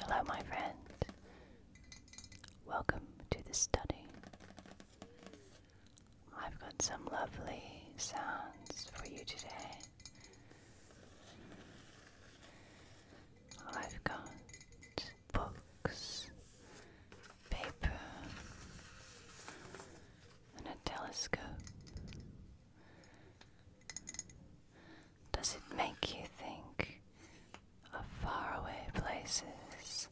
Hello, my friend. Welcome to the study. I've got some lovely sounds for you today. I've got books, paper, and a telescope. Does it make you think of faraway places?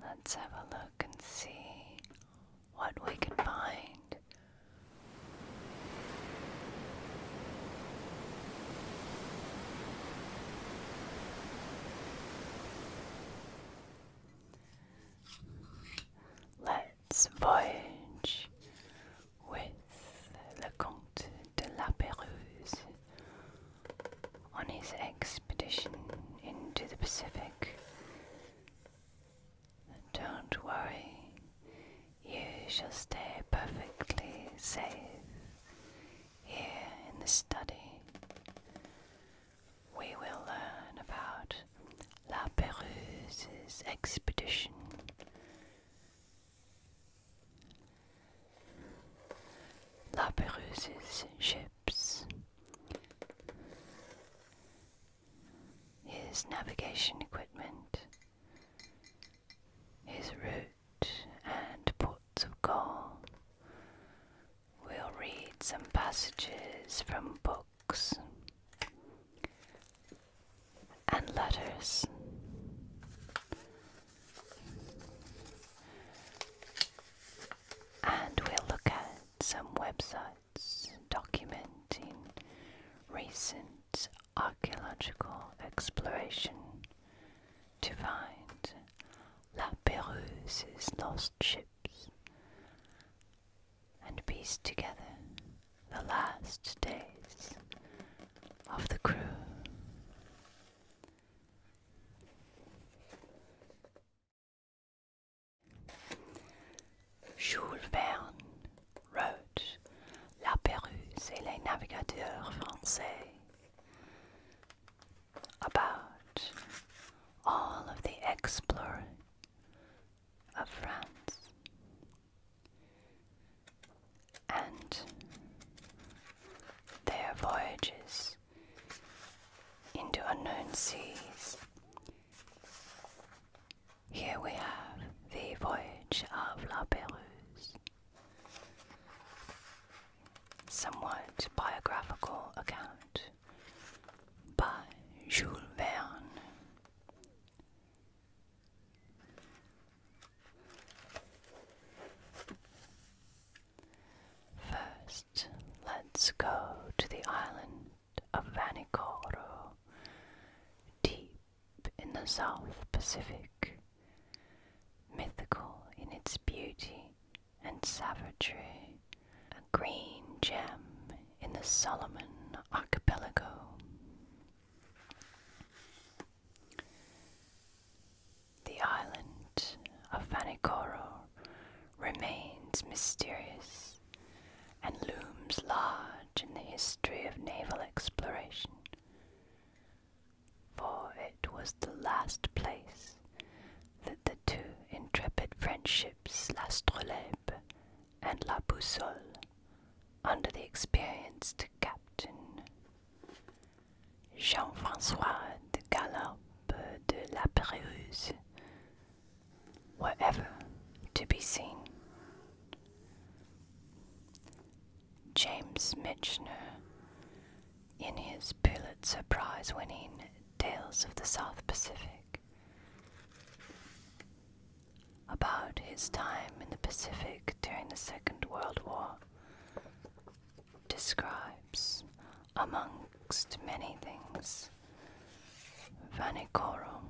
Let's have a look and see what we can find. Let it's us voyage with Le Comte de La Pérouse on his expedition into the Pacific. Don't worry, you shall stay perfectly safe here in the study we will learn about La Perouse's expedition. La Perouse's ships, his navigation equipment, his route and ports of call. We'll read some passages from books books and letters. And we'll look at some websites documenting recent archaeological exploration to find La Perouse's lost ships and piece together the last days of the crew. Jules wrote La et les Navigateurs Français about all of the exploring of France. And their voyages into unknown seas. Here we have the voyage of La Pérouse, somewhat biographical account by Jules Verne, First, let's go to the island of Vanikoro, deep in the South Pacific, mythical in its beauty and savagery a green gem in the Solomon Archipelago. The island of Vanikoro remains mysterious and looms large in the history of naval exploration, for it was the last place that the two intrepid French ships last Strolebe and La Boussole under the experienced captain. Jean-François de Galop de La Pérouse were ever to be seen. James Michener, in his Pulitzer Prize winning Tales of the South Pacific, about his time in the Pacific during the Second World War, describes, amongst many things, Vanikoro.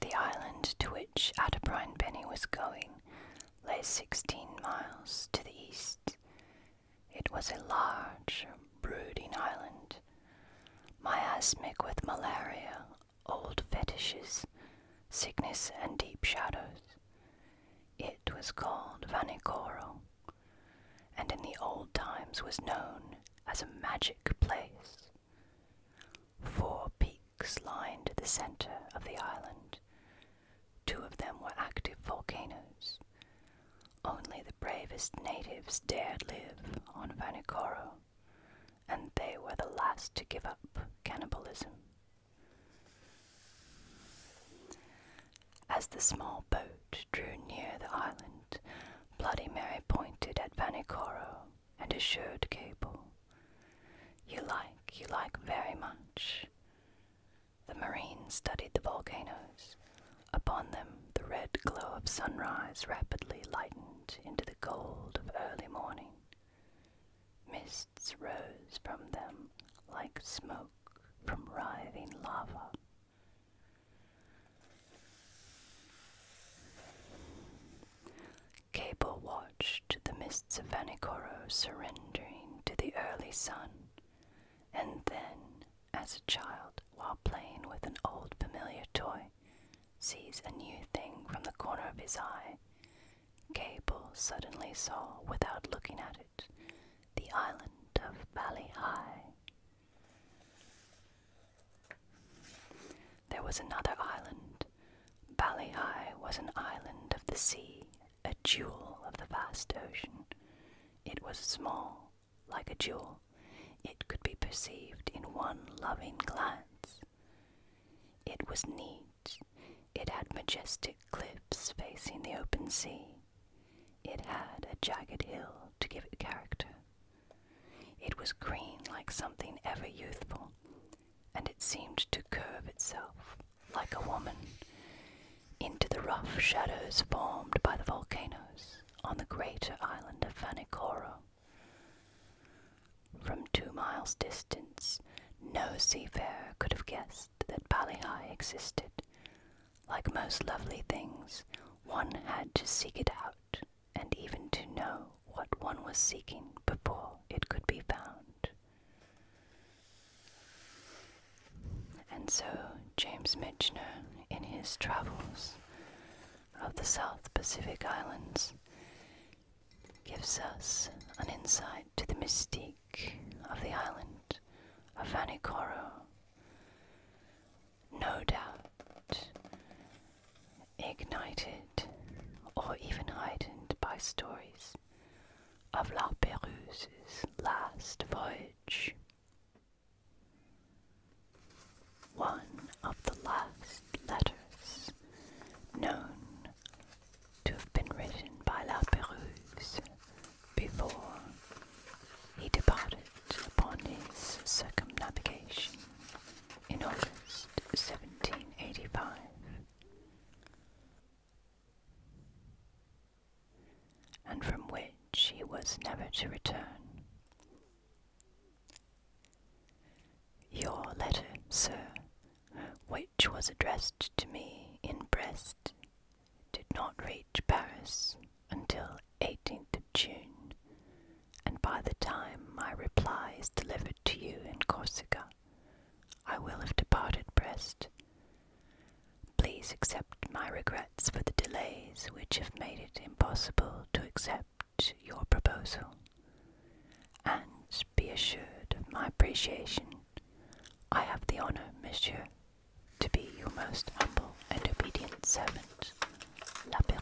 The island to which Atterbrine Benny was going lay sixteen miles to the east it was a large, brooding island, miasmic with malaria, old fetishes, sickness, and deep shadows. It was called Vanikoro, and in the old times was known as a magic place. Four peaks lined the center of the island. Two of them were active volcanoes, only the bravest natives dared live on Vanikoro, and they were the last to give up cannibalism. As the small boat drew near the island, Bloody Mary pointed at Vanikoro and assured Cable, You like, you like very much. The marines studied the volcanoes. Upon them, the red glow of sunrise rapidly lightened into the gold of early morning. Mists rose from them like smoke from writhing lava. Cable watched the mists of Vanikoro surrendering to the early sun, and then, as a child, while playing with an old familiar toy, sees a new thing from the corner of his eye, Gable suddenly saw, without looking at it, the island of Valley High. There was another island. Valley High was an island of the sea a jewel of the vast ocean. It was small, like a jewel. It could be perceived in one loving glance. It was neat. It had majestic cliffs facing the open sea. It had a jagged hill to give it character. It was green like something ever youthful, and it seemed to curve itself like a woman into the rough shadows formed by the volcanoes on the greater island of Vanikoro. From two miles' distance, no seafarer could have guessed that Balihai existed. Like most lovely things, one had to seek it out, and even to know what one was seeking before it could be found. And so James Michener, in his travels of the South Pacific Islands, gives us an insight to the mystique of the island of Vanikoro. No doubt ignited or even heightened by stories of La Perouse's last voyage. One of the last letters known to have been written by La Perouse before he departed upon his circumnavigation in August 1785 and from which he was never to return. Your letter, sir, which was addressed to me in Brest, did not reach Paris until 18th of June, and by the time my reply is delivered to you in Corsica, I will have departed Brest Please accept my regrets for the delays which have made it impossible to accept your proposal, and be assured of my appreciation. I have the honor, monsieur, to be your most humble and obedient servant, La Pérouse.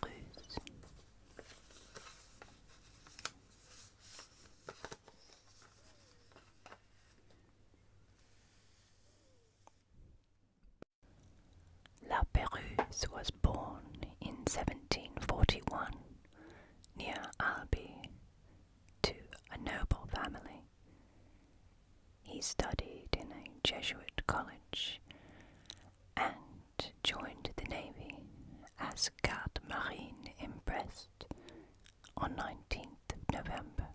La Perouse was born in 1741 near Albi to a noble family. He studied in a Jesuit college and joined the navy as garde marine in Brest on 19th November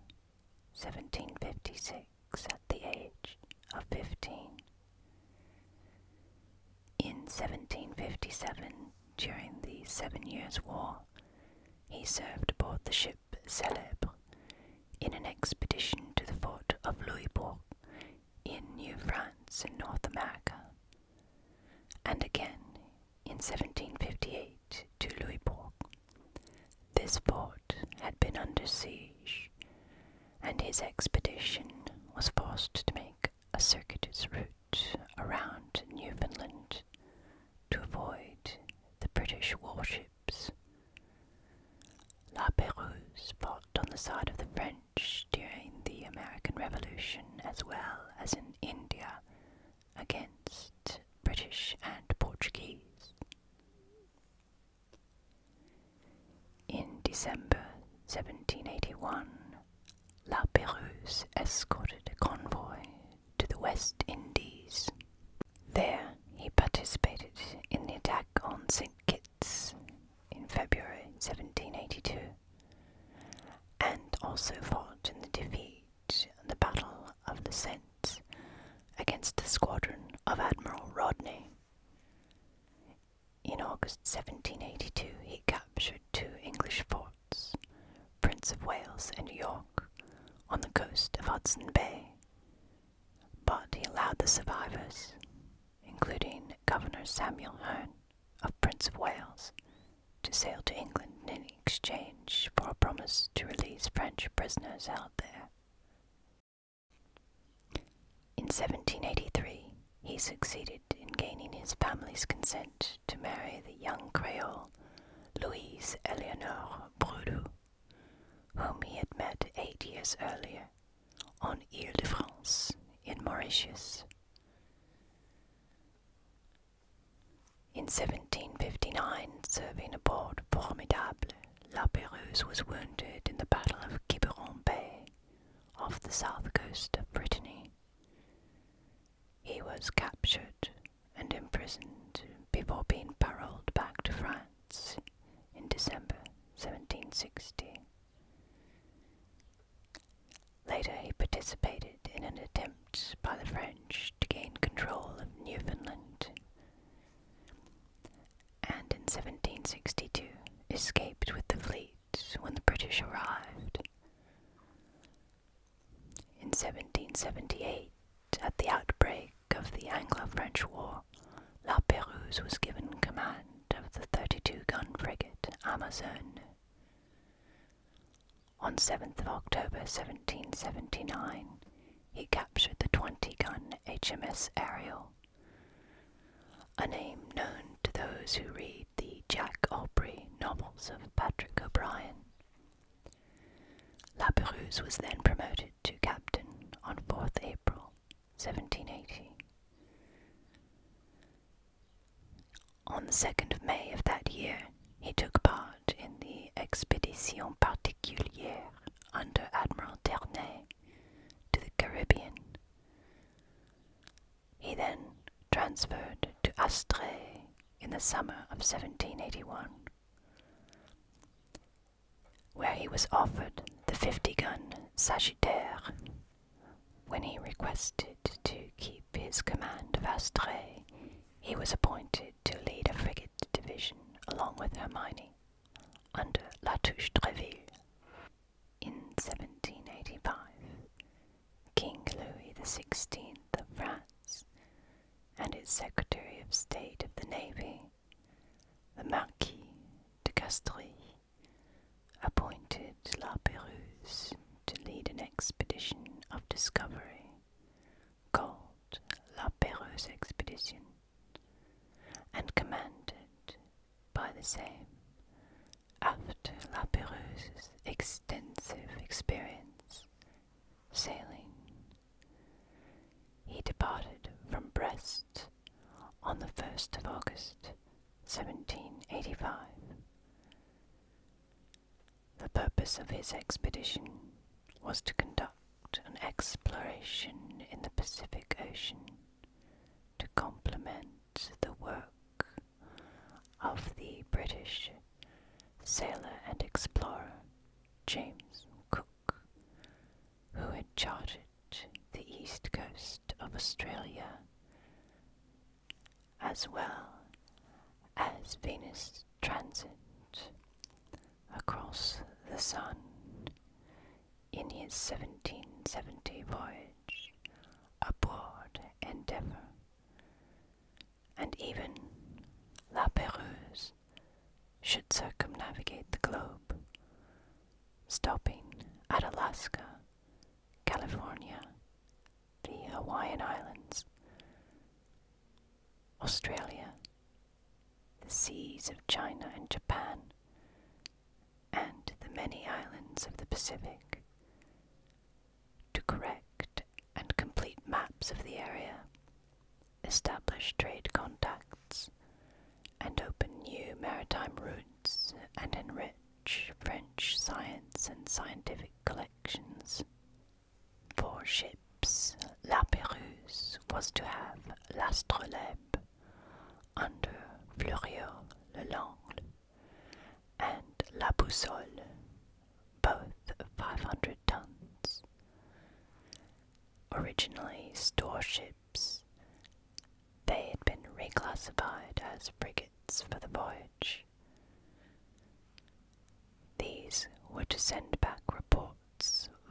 1756 at the age of 15. In 1757, during the Seven Years' War, he served aboard the ship Célèbre in an expedition to the fort of Louisbourg in New France in North America, and again in 1758 to Louisbourg this fort had been under siege, and his expedition was forced to make a circuitous route around Newfoundland to avoid the British warships. La Pérouse fought on the side of the French during the American Revolution as well as in India against British and Portuguese. In December 1781, La Pérouse escorted a convoy to the West Indies. There he participated in the attack on St. Kitts in February 1782 and also fought in the defeat the Battle of the Saints against the squadron of Admiral Rodney. In August 1782, he captured two English forts, Prince of Wales and York, on the coast of Hudson Bay. But he allowed the survivors, including Governor Samuel Hearn of Prince of Wales, to sail to England in exchange for a promise to release French prisoners held there. In 1783, he succeeded in gaining his family's consent to marry the young Creole Louise Eleonore Broudou, whom he had met eight years earlier on Ile de France in Mauritius. In 1759, serving aboard Formidable, La Pérouse was wounded in the Battle of Quiberon Bay off the south coast of Brittany. He was captured and imprisoned before being paroled back to France in December 1760. Later he participated in an attempt by the French to gain control of Newfoundland and in 1762 escaped with the fleet when the British arrived. In 1778, at the outbreak of the Anglo-French War, La Pérouse was given command of the 32-gun frigate Amazon. On 7th of October 1779, he captured the 20-gun HMS Ariel, a name known to those who read the Jack Aubrey novels of Patrick O'Brien. La Perouse was then promoted to captain on 4th April 1780. On the 2nd of May of that year, he took part in the Expedition Particulière under Admiral Ternay to the Caribbean. He then transferred to Astrée in the summer of 1781, where he was offered the 50 gun Sagittaire. When he requested to keep his command of Astrée, he was appointed to lead a frigate division along with Hermione under La Touche-Treville. In 1785, King Louis XVI of France and his Secretary of State of the Navy, the Marquis de Castries, appointed La Pérouse to lead an expedition of discovery called La Pérouse Expedition and commanded by the same, after La Perouse's extensive experience sailing, he departed from Brest on the 1st of August 1785. The purpose of his expedition was to conduct an exploration in the Pacific Ocean to complement the work of the British sailor and explorer James Cook, who had charted the east coast of Australia as well as Venus transit across the sun in his 1770 voyage aboard Endeavour, and even La Pérouse should circumnavigate the globe, stopping at Alaska, California, the Hawaiian Islands, Australia, the seas of China and Japan, and the many islands of the Pacific. To correct and complete maps of the area, establish trade contacts, and open new maritime routes and enrich French science and scientific collections. Four ships La Pérouse was to have L'Astrolabe under Fleuriot le Langle and La Boussole, both 500 tons. Originally store ships, they had been reclassified as frigates for the voyage. These were to send back reports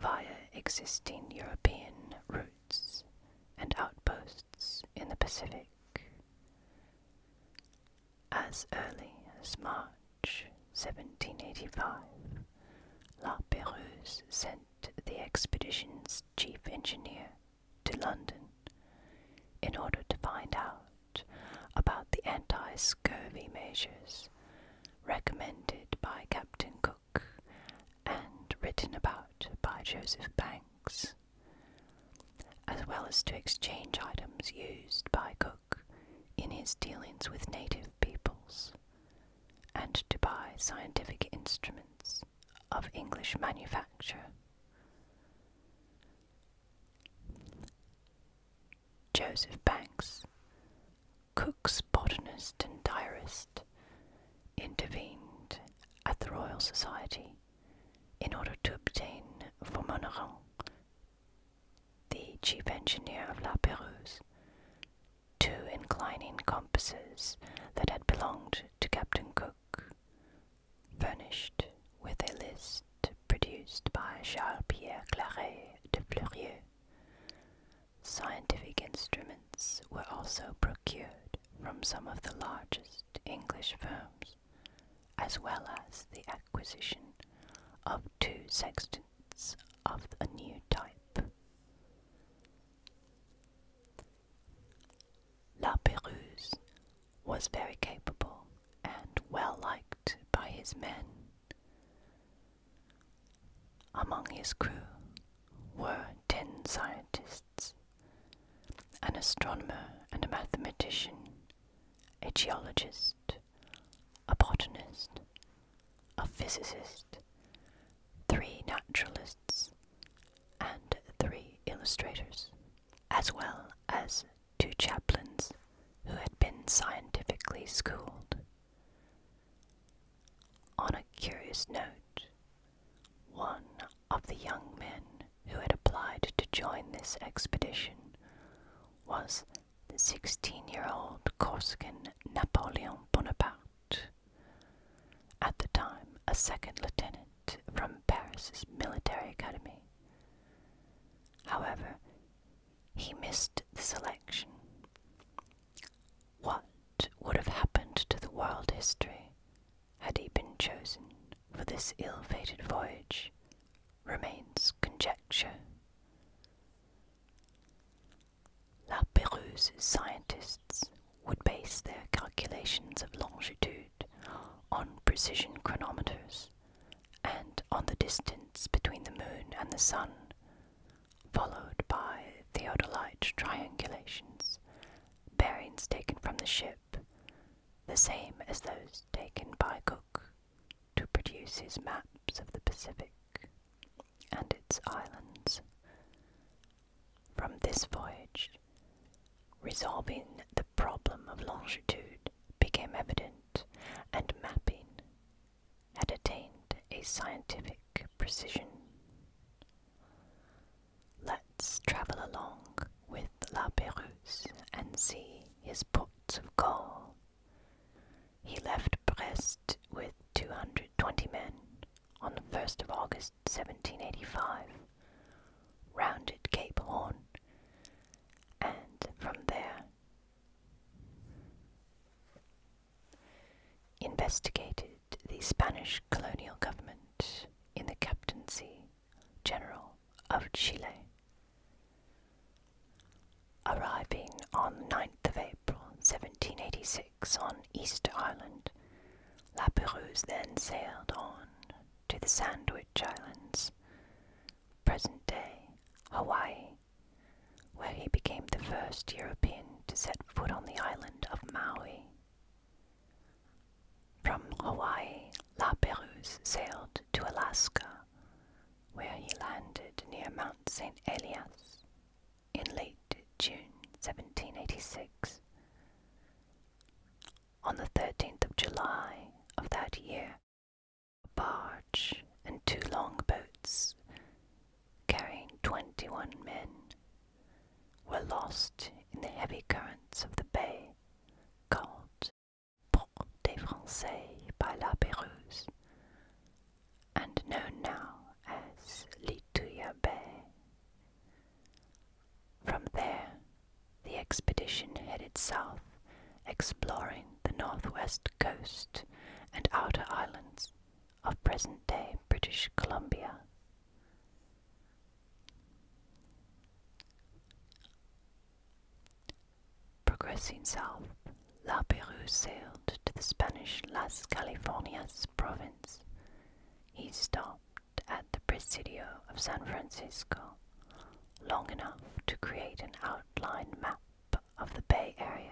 via existing European routes and outposts in the Pacific. As early as March 1785, La Pérouse sent the expedition's chief engineer to London in order to find out about the anti scurvy measures recommended by Captain Cook and written about by Joseph Banks, as well as to exchange items used by Cook in his dealings with native peoples, and to buy scientific instruments of English manufacture. Joseph Banks, Cook's botanist and diarist, intervened at the Royal Society in order to obtain for Monneron, the chief engineer of La Perouse, two inclining compasses that had belonged to Captain Cook, furnished with a list produced by Charles Pierre Claret de Fleurieu Scientific instruments were also procured from some of the largest English firms, as well as the acquisition of two sextants of a new type. La Pérouse was very capable and well liked by his men. Among his crew were ten scientists, an astronomer and a mathematician, a geologist, a botanist, a physicist, three naturalists, and three illustrators, as well as two chaplains who had been scientifically schooled. On a curious note, one of the young men who had applied to join this expedition was the 16 year old Corsican Napoleon Bonaparte, at the time a second lieutenant from Paris's military academy. However, he missed the selection. What would have happened to the world history had he been chosen for this ill fated voyage remains conjecture. La Perouse's scientists would base their calculations of longitude on precision chronometers and on the distance between the moon and the sun, followed by theodolite triangulations, bearings taken from the ship, the same as those taken by Cook to produce his maps of the Pacific and its islands. From this voyage, resolving the problem of longitude became evident, and mapping had attained a scientific precision. Let's travel along with La Pérouse and see his pots of gold. He left Brest with 220 men on the 1st of August 1785, rounded Cape Horn, and from there investigated the Spanish colonial government in the Captaincy General of Chile. Arriving on 9th of April 1786 on Easter Island, La Perouse then sailed on to the Sandwich Islands, present day Hawaii, where he became the first European to set foot on the island of Maui. From Hawaii, La Perouse sailed to Alaska, where he landed near Mount St. Elias in late June 1786. On the 13th of July of that year, a barge and two longboats carrying 21 men, were lost in the heavy currents of the bay called Port des Français by La Pérouse and known now as Lituya Bay. From there, the expedition headed south, exploring the northwest coast and outer islands of present day British Columbia. Progressing south, La Perouse sailed to the Spanish Las Californias province. He stopped at the Presidio of San Francisco long enough to create an outline map of the Bay Area.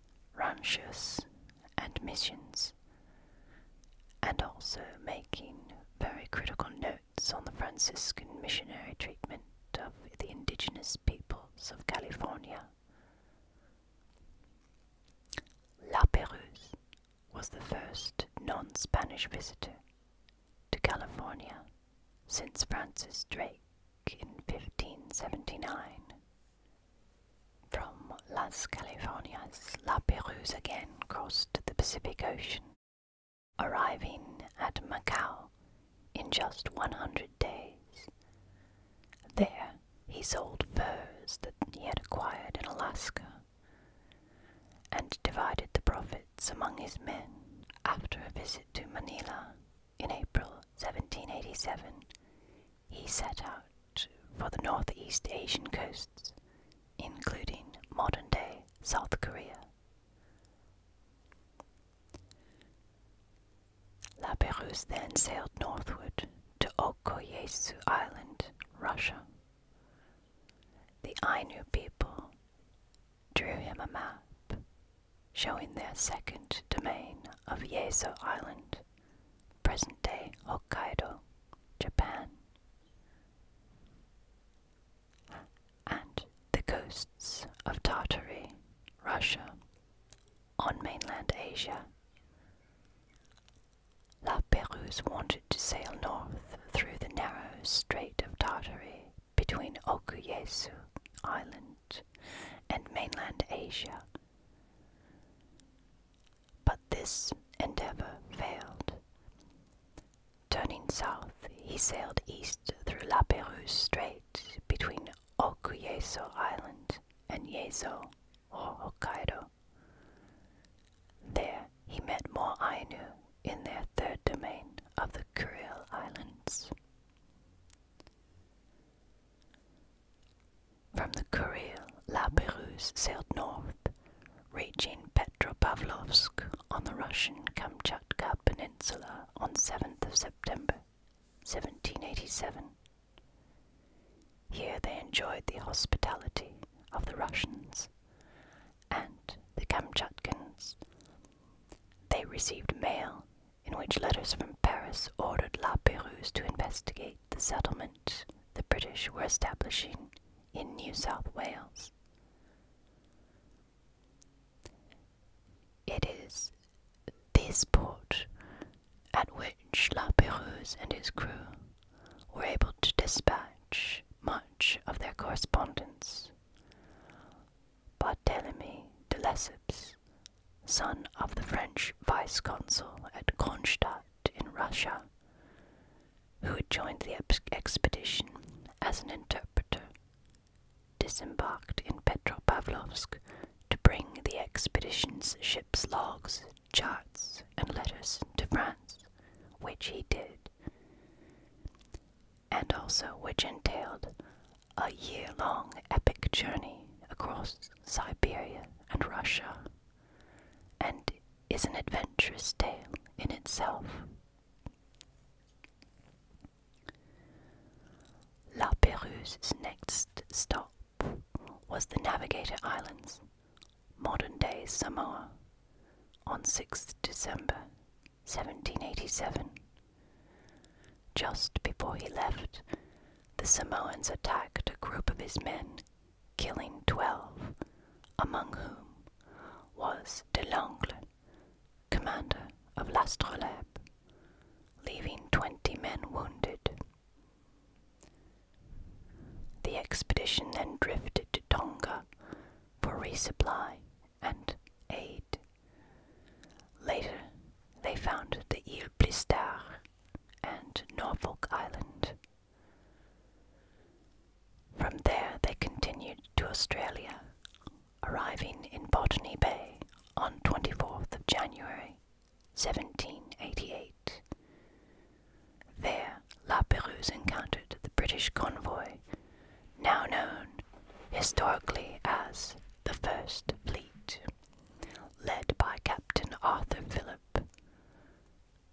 ranches, and missions, and also making very critical notes on the Franciscan missionary treatment of the indigenous peoples of California. La Perouse was the first non Spanish visitor to California since Francis Drake in 1579 from Las Californias, La Perouse again crossed the Pacific Ocean, arriving at Macau in just 100 days. There he sold furs that he had acquired in Alaska and divided the profits among his men. After a visit to Manila in April 1787, he set out for the Northeast Asian coasts, including modern day South Korea. La Perouse then sailed northward to Okoyesu Island, Russia. The Ainu people drew him a map showing their second domain of Yezo Island present day Hokkaido, Japan. And the coasts of Tartary, Russia, on mainland Asia. La Perouse wanted to sail north through the narrow Strait of Tartary between Okuyasu Island and mainland Asia. But this endeavor failed. Turning south, he sailed east through La Perouse Strait between Okuyeso Island and Yezo, or Hokkaido. There he met more Ainu in their third domain of the Kuril Islands. From the Kuril, La Perouse sailed north, reaching Petropavlovsk on the Russian Kamchatka Peninsula on 7th of September 1787. Here they enjoyed the hospitality of the Russians and the Kamchatkans. They received mail in which letters from Paris ordered La Pérouse to investigate the settlement the British were establishing in New South Wales. It is this port at which La Pérouse and his crew were able to dispatch much of their correspondence. Barthélemy de Lesseps son of the French vice consul at Kronstadt in Russia, who had joined the expedition as an interpreter, disembarked in Petropavlovsk to bring the expedition's ship's logs, charts, and letters to France, which he did, and also which entailed a year long epic journey across Siberia, and Russia, and is an adventurous tale in itself. La Perouse's next stop was the Navigator Islands, modern day Samoa, on 6th December 1787. Just before he left, the Samoans attacked a group of his men, killing twelve, among whom was de Langle, commander of L'Astrolabe, leaving twenty men wounded. The expedition then drifted to Tonga for resupply and aid. Later, they found the Isle Plistard, and Norfolk Island. From there they continued to Australia, arriving in Botany Bay on 24th of January 1788. There La Perouse encountered the British convoy, now known historically as the First Fleet, led by Captain Arthur Phillip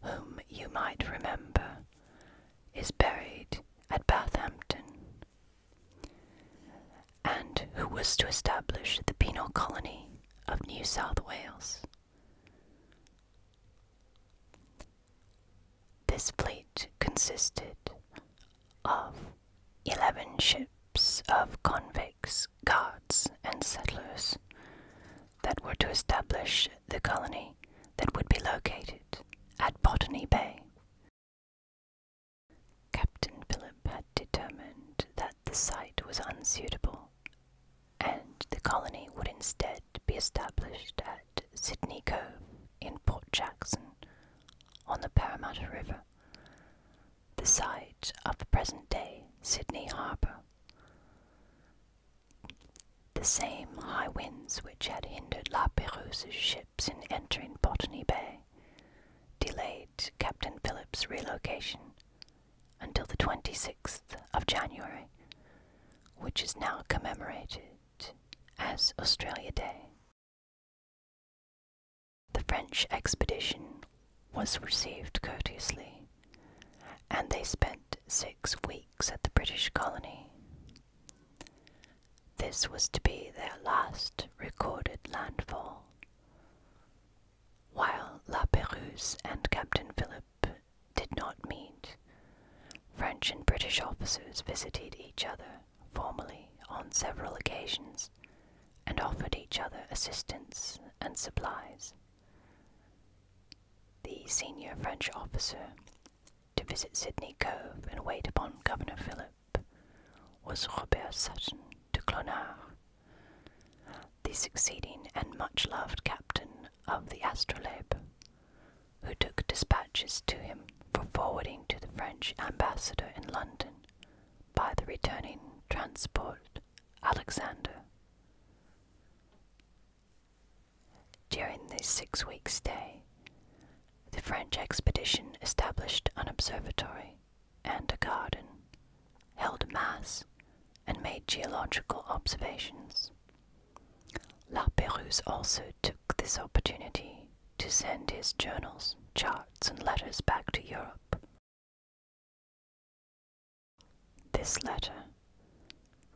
whom you might remember, is buried at Bathampton, and who was to establish the penal colony of New South Wales. This fleet consisted of eleven ships of convicts, guards, and settlers that were to establish the colony that would be located at Botany Bay. Captain Philip had determined that the site was unsuitable, and the colony would instead be established at Sydney Cove in Port Jackson on the Parramatta River, the site of the present day Sydney Harbour. The same high winds which had hindered La Perouse's ships in entering Botany Bay delayed Captain Phillip's relocation until the 26th of January, which is now commemorated as Australia Day. The French expedition was received courteously, and they spent six weeks at the British colony. This was to be their last recorded landfall. While La Pérouse and Captain Philip did not meet, French and British officers visited each other formally on several occasions and offered each other assistance and supplies the senior French officer, to visit Sydney Cove and wait upon Governor Philip, was Robert Sutton de Clonard, the succeeding and much loved captain of the Astrolabe, who took dispatches to him for forwarding to the French ambassador in London by the returning transport Alexander. During this six week stay, the French expedition established an observatory and a garden, held mass, and made geological observations. La Pérouse also took this opportunity to send his journals, charts, and letters back to Europe this letter,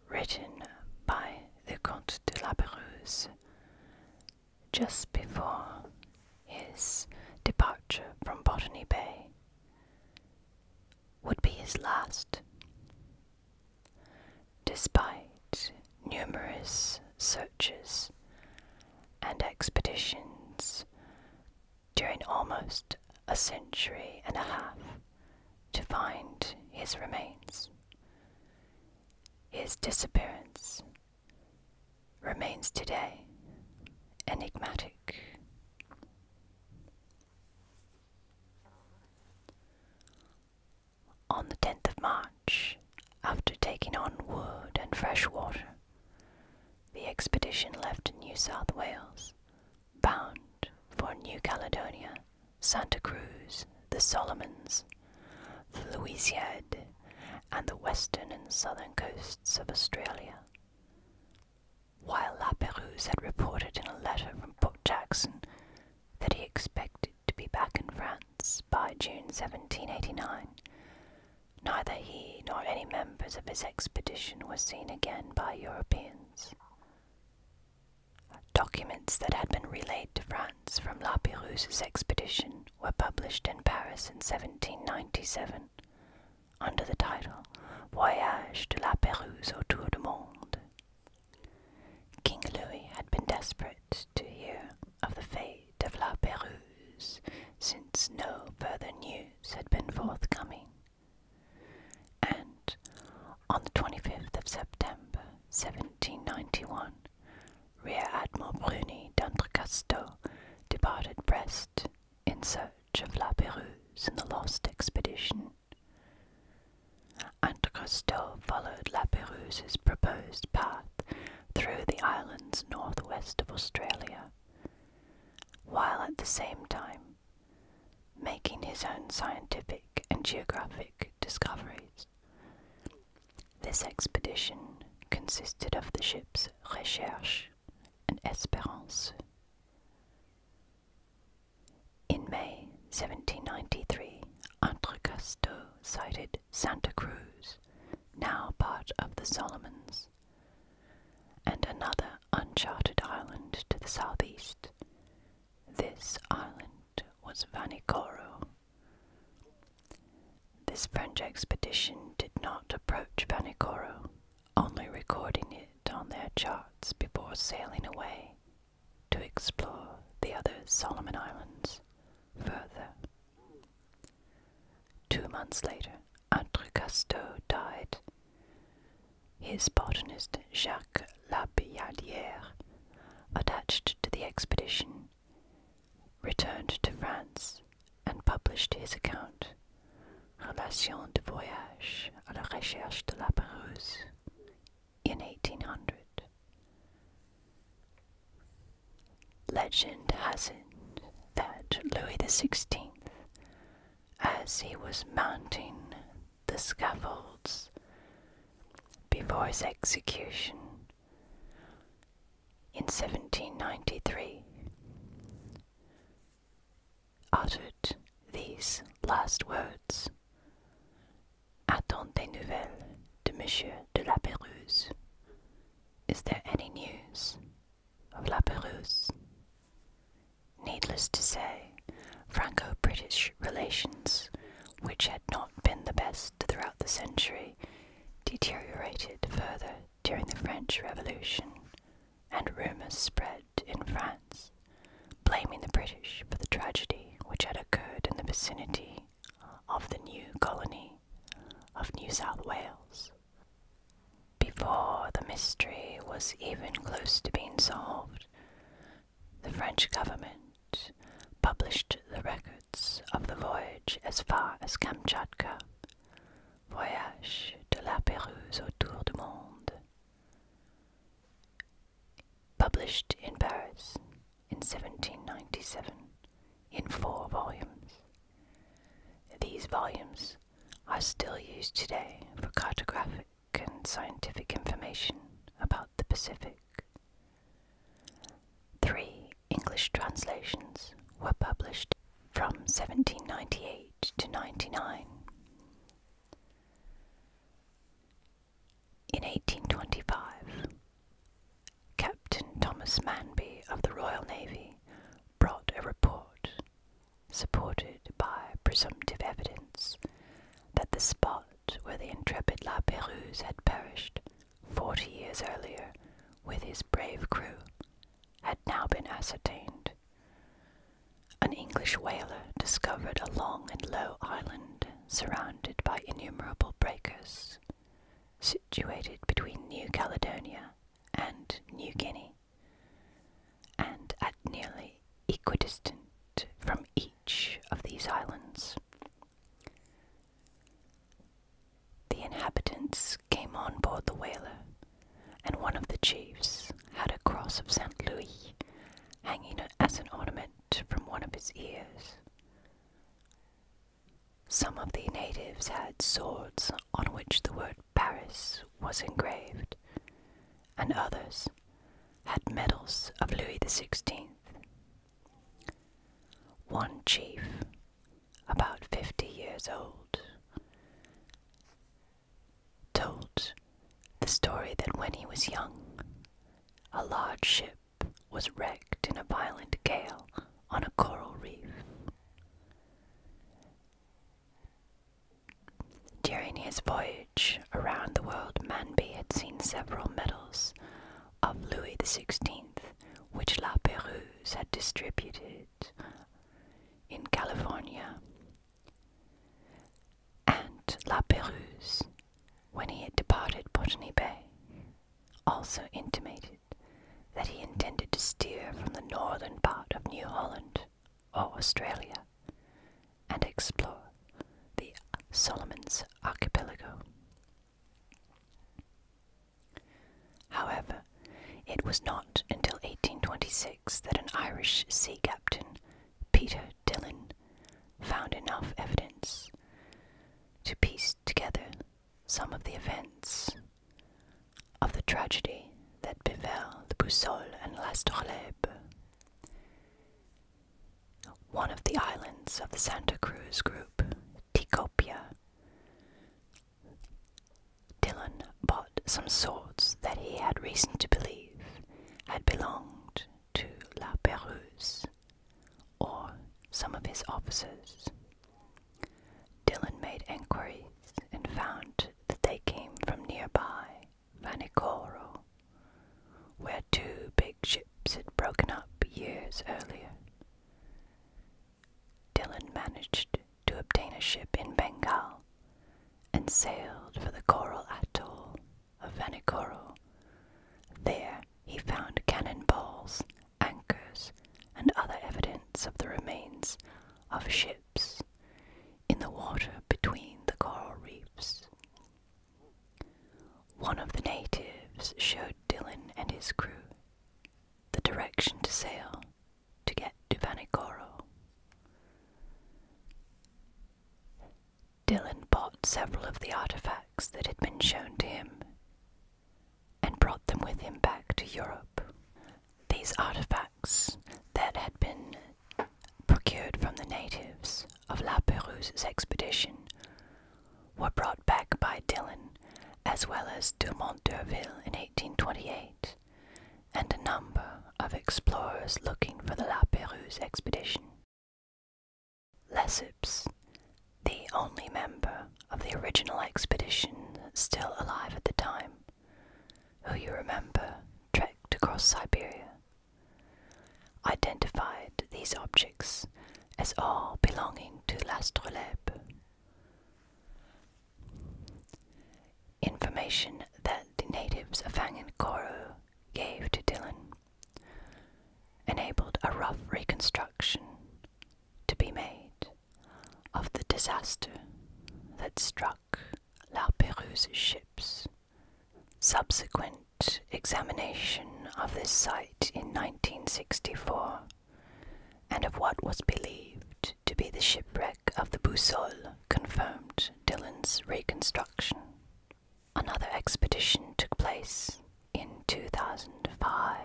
written by the Comte de la Pérouse just before his departure from Botany Bay, would be his last. Despite numerous searches and expeditions during almost a century and a half to find his remains. His disappearance remains today enigmatic. On the 10th of March, after taking on wood and fresh water, the expedition left New South Wales, bound for New Caledonia, Santa Cruz, the Solomons, the Louisiade, and the western and southern coasts of Australia. While La Perouse had reported in a letter from Port Jackson that he expected to be back in France by June 1789, Neither he nor any members of his expedition were seen again by Europeans. Documents that had been relayed to France from La Perouse's expedition were published in Paris in 1797 under the title Voyage de La Perouse autour du monde. King Louis had been desperate to hear of the fate of La Perouse since no further news had been forthcoming. And on the 25th of September 1791, Rear Admiral Bruni d'Entrecasteaux departed Brest in search of La Pérouse and the lost expedition. Entrecasteaux followed La Pérouse's proposed path through the islands northwest of Australia while at the same time making his own scientific and geographic discoveries. This expedition consisted of the ships Recherche and Espérance. In May 1793, Entrecasteaux sighted Santa Cruz, now part of the Solomons and another uncharted island to the southeast. This island was Vanikoro. This French expedition did not approach Vanikoro, only recording it on their charts before sailing away to explore the other Solomon Islands further. Two months later, Entrecasteaux died his botanist Jacques Labillardière, attached to the expedition, returned to France and published his account, Relation de voyage à la recherche de la Pérouse, in 1800. Legend has it that Louis XVI as he was mounting the scaffolds before his execution in 1793, uttered these last words. Attends des nouvelles de Monsieur de La Pérouse. Is there any news of La Pérouse? Needless to say, Franco British relations, which had not been the best throughout the century, deteriorated further during the French Revolution, and rumours spread in France blaming the British for the tragedy which had occurred in the vicinity of the new colony of New South Wales. Before the mystery was even close to being solved, the French government published the records of the voyage as far as Kamchatka, Voyage de la Pérouse autour du monde, published in Paris in 1797 in four volumes. These volumes are still used today for cartographic and scientific information about the Pacific. Three English translations were published from 1798 to 99. In 1825, Captain Thomas Manby of the Royal Navy brought a report supported by presumptive evidence, that the spot where the intrepid La Pérouse had perished forty years earlier with his brave crew had now been ascertained. An English whaler discovered a long and low island surrounded by innumerable breakers, situated between New Caledonia and New Guinea and at nearly equidistant from each of these islands. The inhabitants came on board the whaler, and one of the chiefs had a cross of St. Louis hanging as an ornament from one of his ears. Some of the natives had swords on which the word Paris was engraved, and others had medals of Louis XVI. One chief, about fifty years old, told the story that when he was young, a large ship was wrecked in a violent gale on a coral reef. During his voyage around the world, Manby had seen several medals of Louis XVI, which La Perouse had distributed in California. And La Perouse, when he had departed Botany Bay, also intimated that he intended to steer from the northern part of New Holland or Australia and explore the Solomons archipelago. However, it was not until 1826 that an Irish sea captain, Peter Dillon, found enough evidence to piece together some of the events of the tragedy that befell the Boussole and l'Astrolabe, one of the islands of the Santa Cruz group, Tikopia. Dillon bought some swords that he had reason to believe had belonged to La Perouse or some of his officers. Dillon made inquiries and found that they came from nearby Vanikoro, where two big ships had broken up years earlier. Dylan managed to obtain a ship in Bengal and sailed for the coral atoll of Vanikoro. There he found cannon balls, anchors, and other evidence of the remains of a ship in the water between the coral reefs. One of the natives showed Dylan and his crew the direction to sail to get to Vanikoro. Dylan bought several of the artifacts that had been shown to him and brought them with him back to Europe. These artifacts that had been procured from the natives of La Perouse's expedition were brought back by Dillon as well as Dumont d'Urville in 1828, and a number of explorers looking for the La Perouse expedition. Lesseps, the only member of the original expedition still alive at the time, who you remember trekked across Siberia, identified these objects as all belonging to L'astrolabe. Information that the natives of Vagankoru gave to Dylan enabled a rough reconstruction to be made of the disaster that struck. La Perouse's ships. Subsequent examination of this site in 1964 and of what was believed to be the shipwreck of the Boussole confirmed Dillon's reconstruction. Another expedition took place in 2005.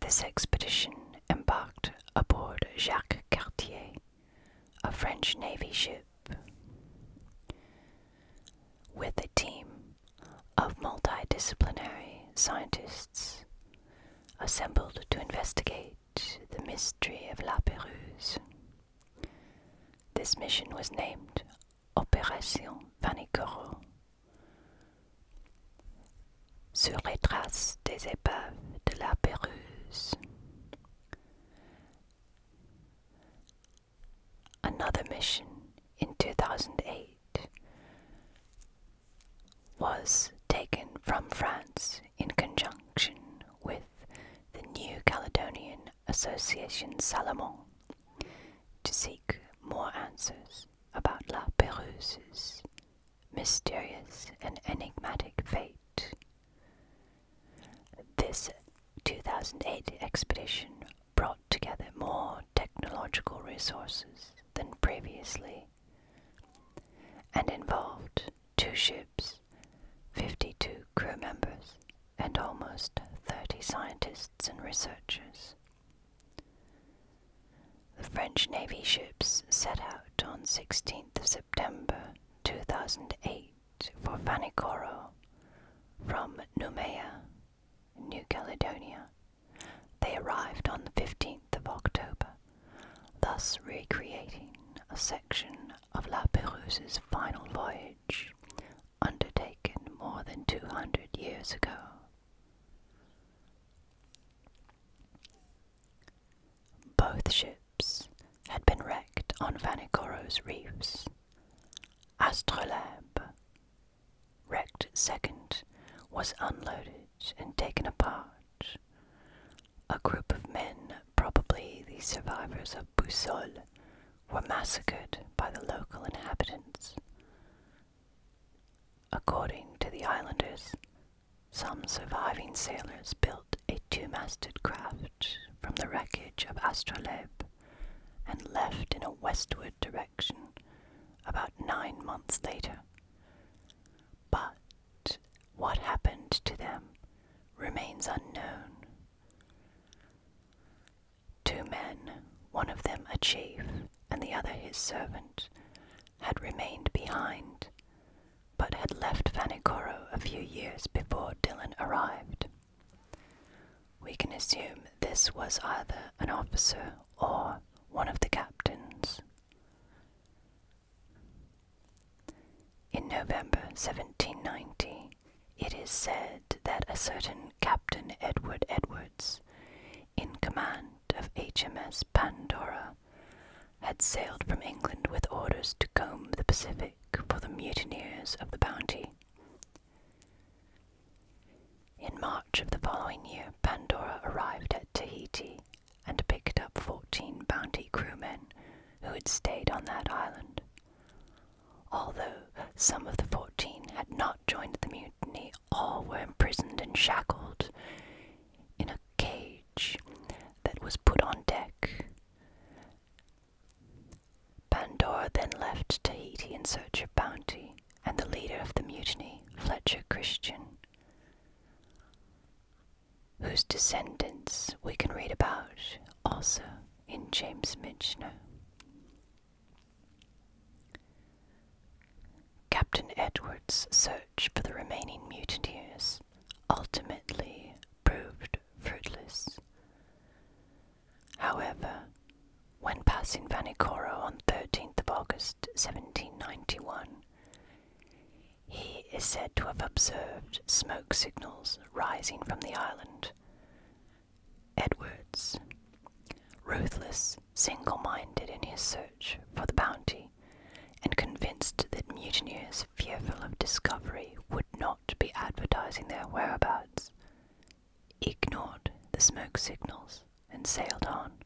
This expedition embarked aboard Jacques Cartier, a French Navy ship, with a team of multidisciplinary scientists assembled to investigate the mystery of La Perouse. This mission was named Opération Vanikoro. Sur les traces des épaves de la Peruse. Another mission in 2008 was taken from France in conjunction with the New Caledonian Association Salomon to seek more answers about La Perouse's mysterious and enigmatic fate. This 2008 expedition brought together more technological resources than previously and involved two ships, 52 crew members, and almost 30 scientists and researchers. The French Navy ships set out on 16th September 2008 for Vanikoro from Noumea, New Caledonia. They arrived on the 15th of October, thus recreating a section of La Perouse's final voyage undertaken more than 200 years ago. Both ships had been wrecked on Vanikoro's reefs. Astrolabe, wrecked second, was unloaded and taken apart. A group of men, probably the survivors of Boussole, were massacred by the local inhabitants. According to the islanders, some surviving sailors built a two-masted craft from the wreckage of Astrolabe and left in a westward direction about nine months later. But what happened to them remains unknown. Two men, one of them a chief and the other his servant, had remained behind, but had left Vanikoro a few years before Dillon arrived. We can assume this was either an officer or one of the captains. In November 1790, it is said that a certain Captain Edward Edwards, in command of HMS Pandora, had sailed from England with orders to comb the Pacific for the mutineers of the Bounty. In March of the following year, Pandora arrived at Tahiti and picked up 14 Bounty crewmen who had stayed on that island. Although some of the 14 had not joined the mutiny all were imprisoned and shackled in a cage that was put on deck. Pandora then left Tahiti in search of bounty, and the leader of the mutiny, Fletcher Christian, whose descendants we can read about also in James Michener. Captain Edward's search for the remaining mutineers ultimately proved fruitless. However, when passing Vanikoro on 13th of August 1791, he is said to have observed smoke signals rising from the island, Edwards, ruthless, single minded in his search for the bounty, and convinced that mutineers fearful of discovery would not be advertising their whereabouts, ignored the smoke signals and sailed on.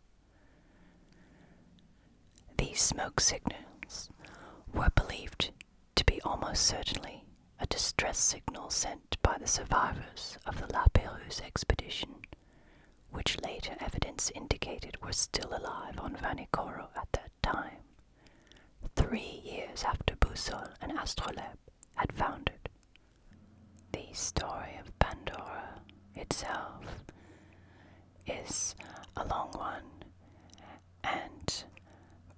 These smoke signals were believed to be almost certainly a distress signal sent by the survivors of the La Perouse expedition which later evidence indicated were still alive on Vanikoro at that time, three years after Busol and Astrolabe had foundered. The story of Pandora itself is a long one and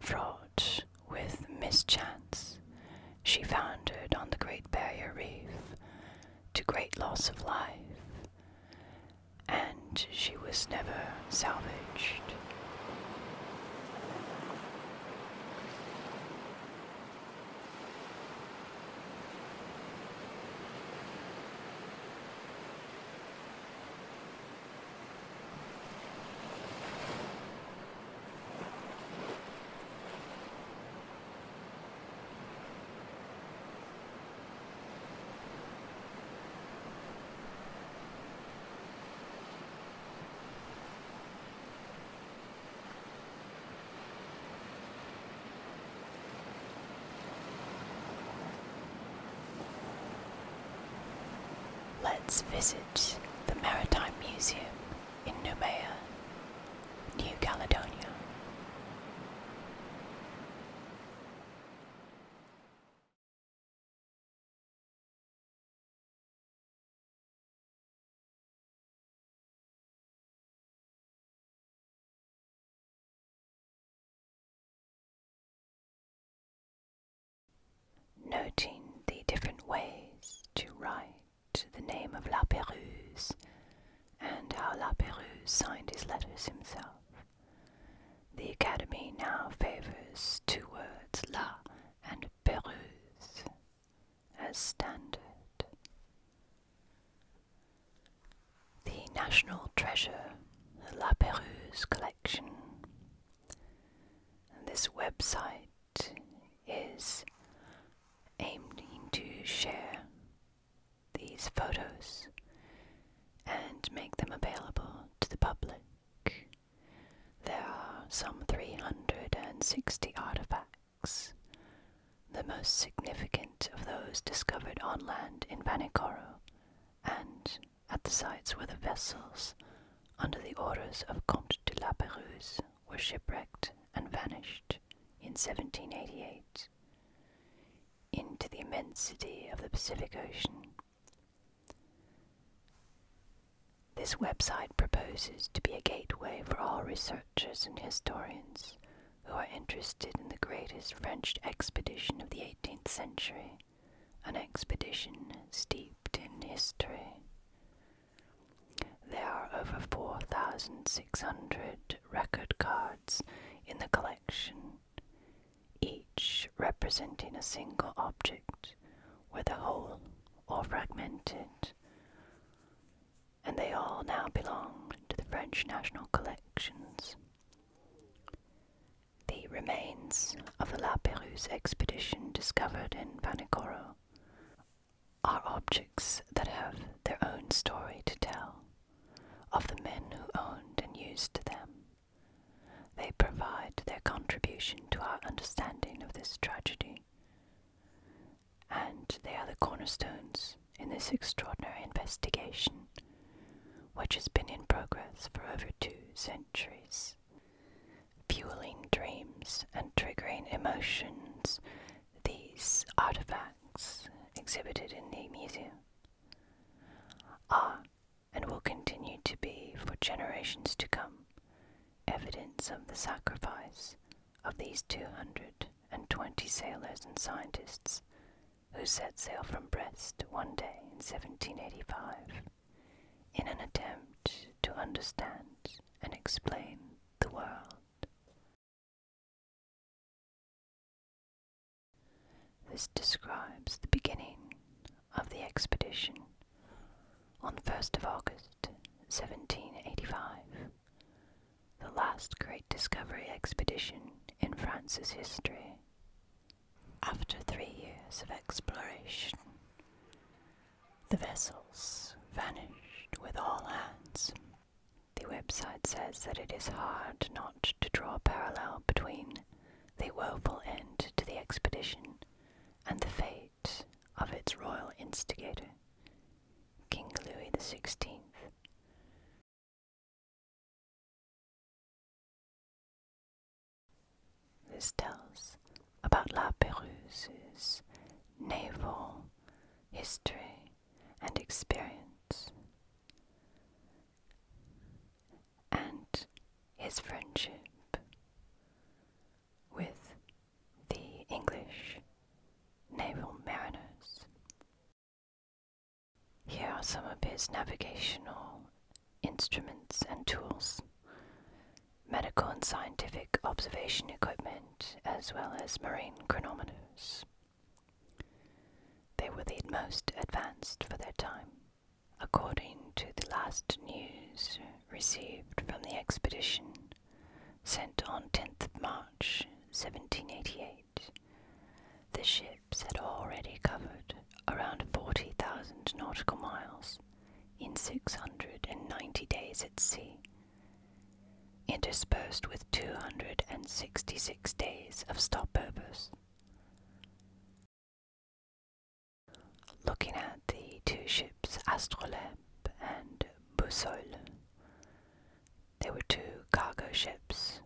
fraught with mischance. She foundered on the Great Barrier Reef to great loss of life, and she was never salvaged. Let's visit the Maritime Museum in Noumea New Caledonia. Noting the different ways to write the name of La Pérouse and how La Pérouse signed his letters himself. The Academy now favors two words, La and Pérouse, as standard. The National Treasure, the La Pérouse Collection. And this website is Aimed to share these photos and make them available to the public. There are some 360 artifacts. The most significant of those discovered on land in Vanikoro and at the sites where the vessels under the orders of Comte de la Pérouse was shipwrecked and vanished in 1788 into the immensity of the Pacific Ocean. This website proposes to be a gateway for all researchers and historians who are interested in the greatest French expedition of the 18th century, an expedition steeped in history. There are over 4,600 record cards in the collection, each representing a single object, whether whole or fragmented, and they all now belong to the French National Collections. The remains of the La Perouse expedition discovered in Vanikoro are objects that have their own story to tell of the men who owned and used them. They provide their contribution to our understanding of this tragedy, and they are the cornerstones in this extraordinary investigation, which has been in progress for over two centuries, fueling dreams and triggering emotions these artifacts exhibited in the museum are and will continue to be for generations to come evidence of the sacrifice of these 220 sailors and scientists who set sail from Brest one day in 1785 in an attempt to understand and explain the world. This describes the beginning of the expedition on 1st of August 1785, the last great discovery expedition in France's history. After three years of exploration, the vessels vanished with all hands. The website says that it is hard not to draw a parallel between the woeful end to the expedition and the fate of its royal instigator, King Louis XVI. This tells about La Perouse's naval history, and experience. And his friendship with the English naval mariners. Here are some of his navigational instruments and tools medical and scientific observation equipment as well as marine chronometers. They were the most advanced for their time. According to the last news received from the expedition sent on 10th March 1788, the ships had already covered around 40,000 nautical miles in 690 days at sea interspersed with 266 days of stop purpose. Looking at the two ships Astrolabe and Boussole, they were two cargo ships,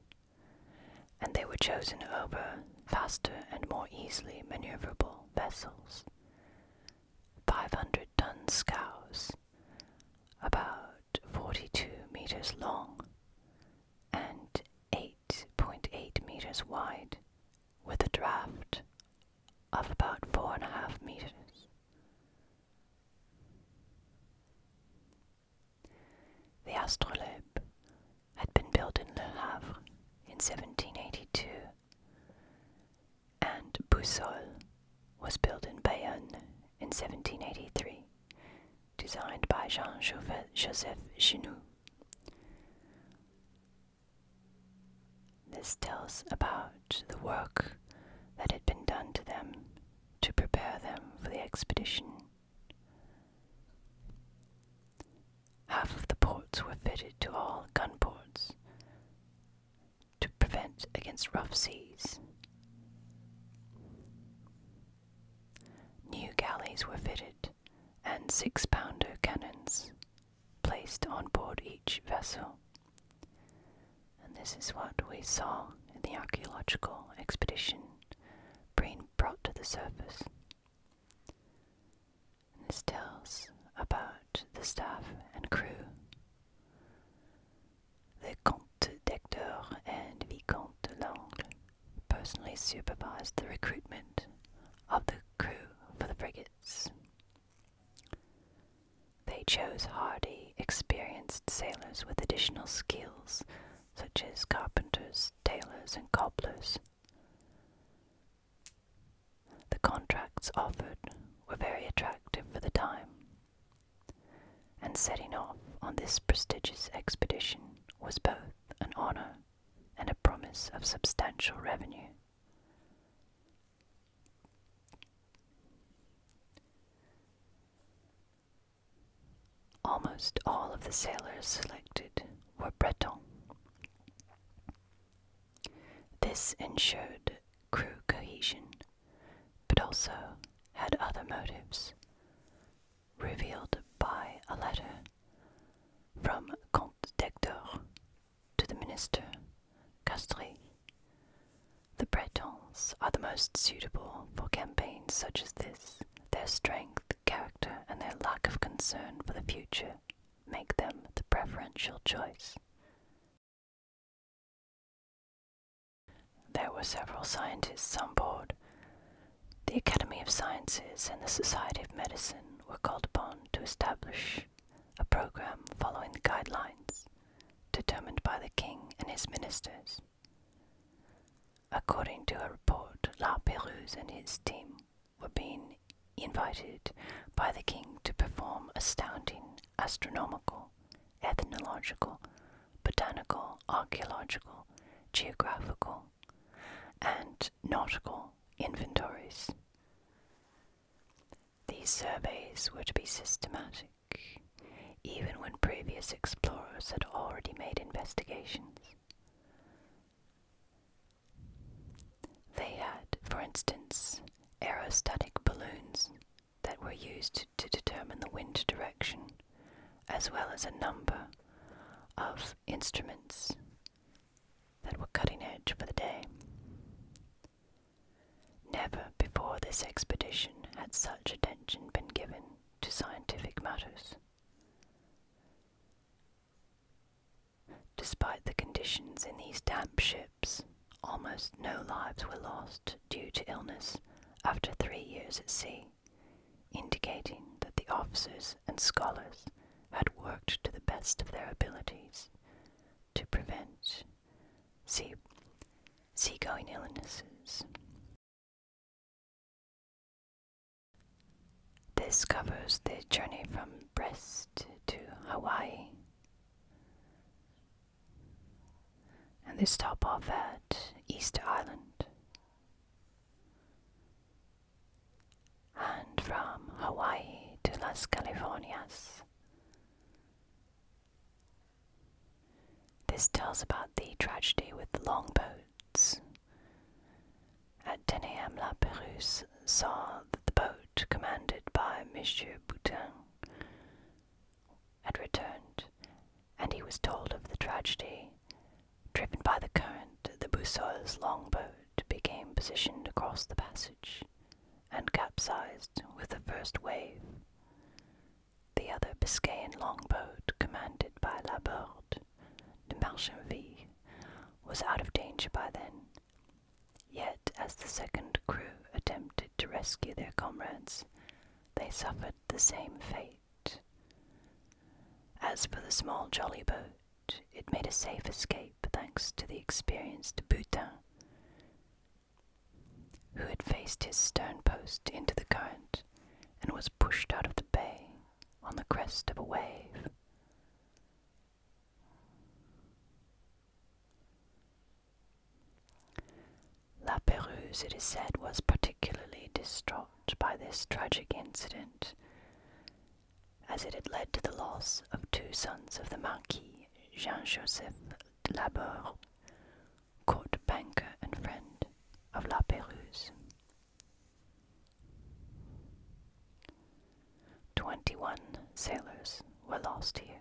and they were chosen over faster and more easily maneuverable vessels. 500 ton scows about 42 meters long and 8.8 meters wide, with a draft of about 4.5 meters. The astrolabe had been built in Le Havre in 1782 and Boussole was built in Bayonne in 1783, designed by Jean Joseph Chenoux. This tells about the work that had been done to them to prepare them for the expedition. Half of the ports were fitted to all gun ports, to prevent against rough seas. New galleys were fitted and six pounder cannons placed on board each vessel. And this is what we saw in the archaeological expedition being brought to the surface. this tells about the staff and crew the Comte d'Hector and Vicomte de Langle personally supervised the recruitment of the crew for the frigates. They chose hardy, experienced sailors with additional skills such as carpenters, tailors, and cobblers. The contracts offered were very attractive for the time and setting off on this prestigious expedition was both an honor and a promise of substantial revenue. Almost all of the sailors selected were Bretons. This ensured crew cohesion but also had other motives, revealed by a letter from Comte d'Hector to the minister Castries. The Bretons are the most suitable for campaigns such as this. Their strength, character, and their lack of concern for the future make them the preferential choice. There were several scientists on board. The Academy of Sciences and the Society of Medicine were called upon to establish a program following the guidelines determined by the king and his ministers. According to a report, La Pérouse and his team were being invited by the king to perform astounding astronomical ethnological, botanical, archaeological, geographical, and nautical inventories. These surveys were to be systematic, even when previous explorers had already made investigations. They had, for instance, aerostatic balloons that were used to determine the wind direction, as well as a number of instruments that were cutting edge for the day. Never before this expedition had such attention been given to scientific matters. Despite the conditions in these damp ships, almost no lives were lost due to illness after three years at sea, indicating that the officers and scholars had worked to the best of their abilities to prevent sea going illnesses. This covers the journey from Brest to Hawaii and they stop off at Easter Island. And from Hawaii to Las Californias. This tells about the tragedy with the longboats. At 10 a.m., La Perouse saw that the boat commanded by Monsieur Boutin had returned, and he was told of the tragedy. Driven by the current, the Boussois longboat became positioned across the passage and capsized with the first wave. The other Biscayan longboat, commanded by Laborde de Marchanville, was out of danger by then. Yet, as the second crew attempted to rescue their comrades, they suffered the same fate. As for the small jolly boat, it made a safe escape thanks to the experienced Boutin, who had faced his stern post into the current and was pushed out of the bay on the crest of a wave. La Perouse, it is said, was particularly distraught by this tragic incident, as it had led to the loss of two sons of the Marquis Jean Joseph Labeur, court banker and friend of La Perouse. 21 sailors were lost here.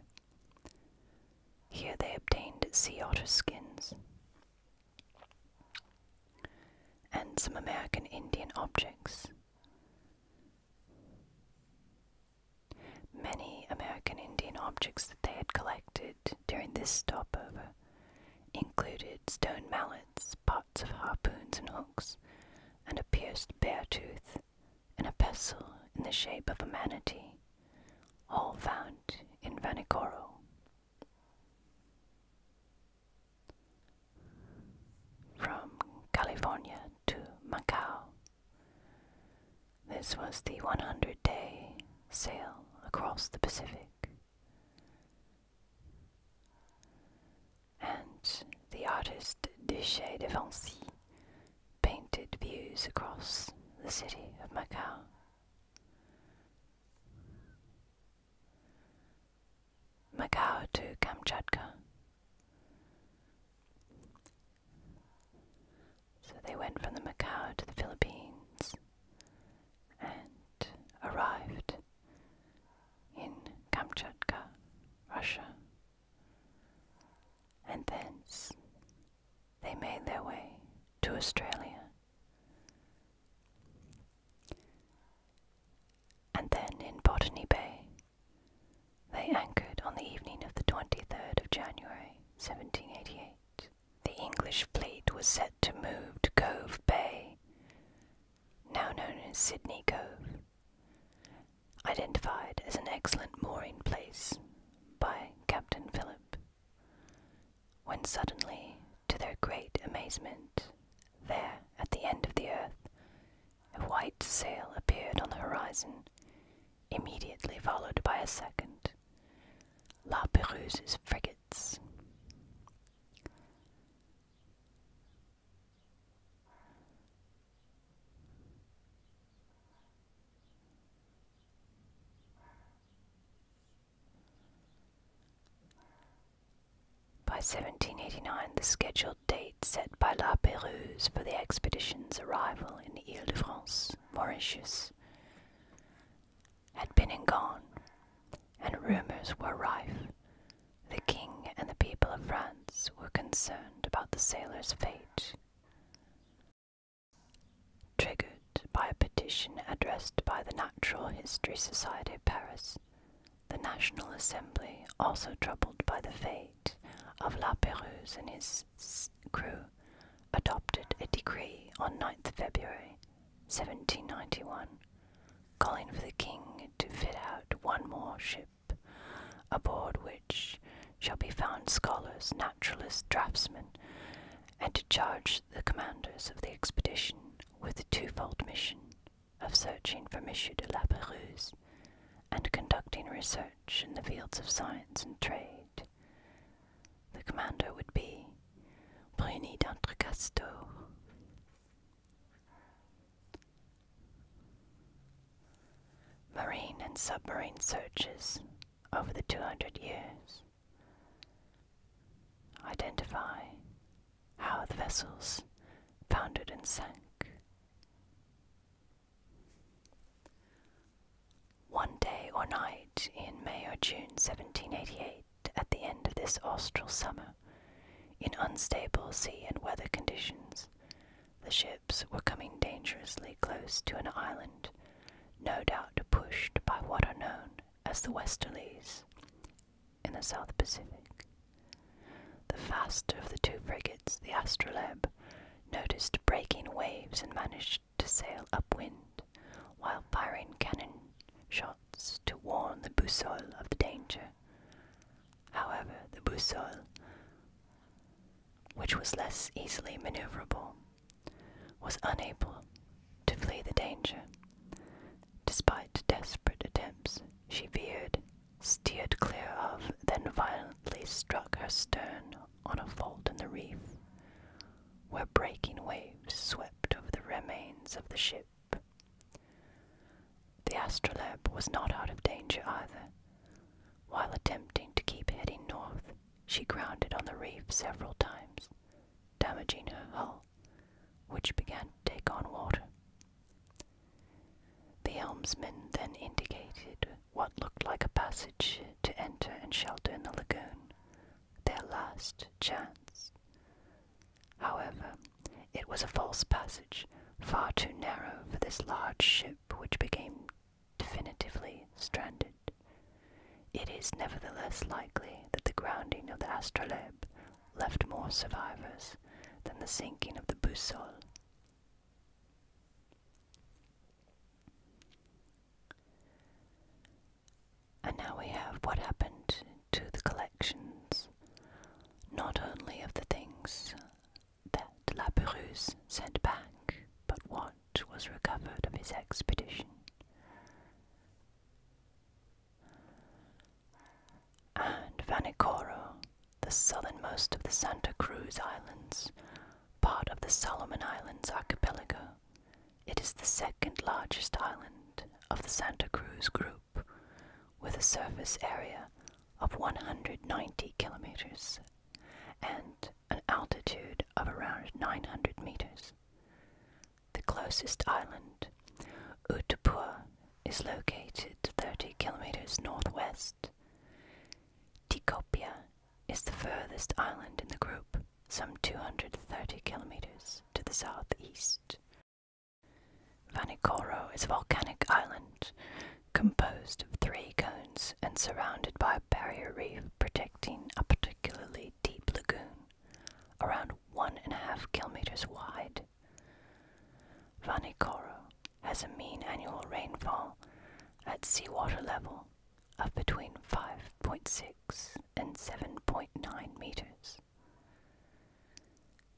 Here they obtained sea otter skins and some American Indian objects. Many American Indian objects that they had collected during this stopover included stone mallets, parts of harpoons and hooks, and a pierced bear tooth and a pestle in the shape of a manatee, all found in Vanikoro. From California to Macau, this was the 100 day sail across the Pacific. And the artist Duché de Vancy painted views across the city of Macau. Macau to Kamchatka. So they went from the Macau to the Philippines and arrived in Kamchatka, Russia, and thence they made their way to Australia. And then in Botany Bay, they anchored on the evening of the 23rd of January 1788. The English fleet was set to move to Cove Bay, now known as Sydney Cove, identified as an excellent mooring place by Captain Philip, when suddenly, to their great amazement, there at the end of the earth, a white sail appeared on the horizon, immediately followed by a second. La Perouse's frigates. By 1789, the scheduled date set by La Pérouse for the expedition's arrival in the Ile de France, Mauritius, had been and gone, and rumours were rife. The king and the people of France were concerned about the sailor's fate. Triggered by a petition addressed by the Natural History Society of Paris, the National Assembly, also troubled by the fate of La Pérouse and his crew, adopted a decree on 9 February 1791 calling for the king to fit out one more ship, aboard which shall be found scholars, naturalists, draftsmen, and to charge the commanders of the expedition with the twofold mission of searching for M. de la Pérouse and conducting research in the fields of science and trade. The commander would be Bruni d'Entrecasteaux. Marine and submarine searches over the 200 years. Identify how the vessels foundered and sank. One day or night in May or June 1788, at the end of this austral summer, in unstable sea and weather conditions, the ships were coming dangerously close to an island no doubt pushed by what are known as the westerlies in the South Pacific. The faster of the two frigates, the Astrolabe, noticed breaking waves and managed to sail upwind while firing cannon shots to warn the Boussole of the danger. However, the Boussole which was less easily maneuverable, was unable to flee the danger. Despite desperate attempts, she veered, steered clear of, then violently struck her stern on a fold in the reef, where breaking waves swept over the remains of the ship. The astrolabe was not out of danger either. While attempting to keep heading north, she grounded on the reef several times, damaging her hull, which began to take on water. The helmsman then indicated what looked like a passage to enter and shelter in the lagoon, their last chance. However, it was a false passage, far too narrow for this large ship, which became definitively stranded. It is nevertheless likely that the grounding of the astrolabe left more survivors than the sinking of the Boussole. And now we have what happened to the collections, not only of the things that La Perouse sent back, but what was recovered of his expedition. And Vanikoro, the southernmost of the Santa Cruz Islands, part of the Solomon Islands archipelago, it is the second largest island of the Santa Cruz group, with a surface area of 190 kilometers and an altitude of around 900 meters. The closest island, Utupua, is located 30 kilometers northwest. Tikopia is the furthest island in the group, some 230 kilometers to the southeast. Vanikoro is a volcanic island composed of three cones and surrounded by a barrier reef protecting a particularly deep lagoon around one and a half kilometers wide. Vanikoro has a mean annual rainfall at seawater level of between 5.6 and 7.9 meters.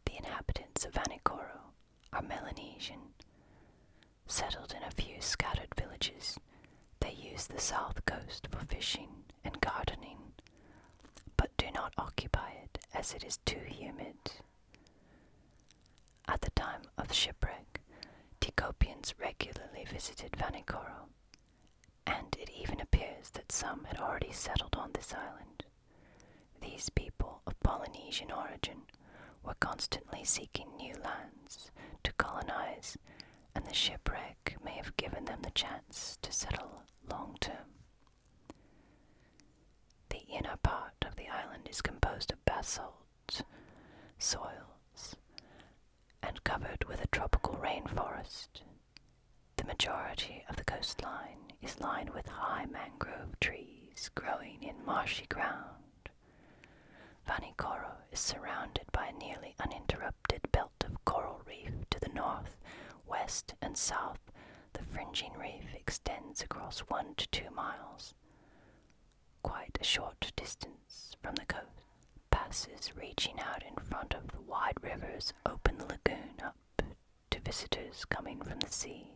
The inhabitants of Vanikoro are Melanesian, settled in a few scattered villages. They use the south coast for fishing and gardening, but do not occupy it as it is too humid. At the time of shipwreck, Ticopians regularly visited Vanikoro, and it even appears that some had already settled on this island. These people of Polynesian origin were constantly seeking new lands to colonize and the shipwreck may have given them the chance to settle long term. The inner part of the island is composed of basalt soils and covered with a tropical rainforest. The majority of the coastline is lined with high mangrove trees growing in marshy ground. Vanikoro is surrounded by a nearly uninterrupted belt of coral reef to the north, west, and south. The fringing reef extends across one to two miles. Quite a short distance from the coast, passes reaching out in front of the wide rivers open the lagoon up to visitors coming from the sea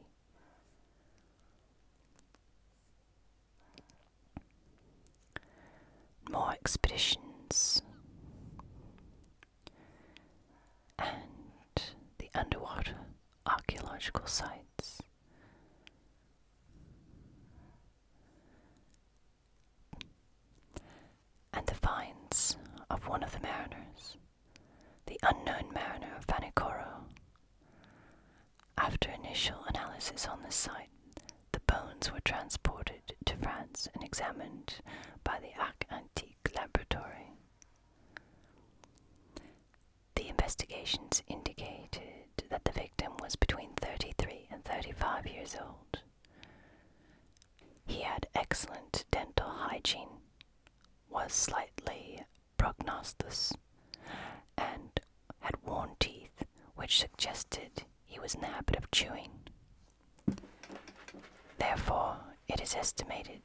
more expeditions, and the underwater archaeological sites. And the finds of one of the mariners, the unknown mariner of Vanikoro, after initial analysis on the site, the bones were transported to France and examined by the Arc Antique Laboratory. The investigations indicated that the victim was between 33 and 35 years old. He had excellent dental hygiene, was slightly prognostus, and had worn teeth which suggested he was in the habit of chewing. Therefore, it is estimated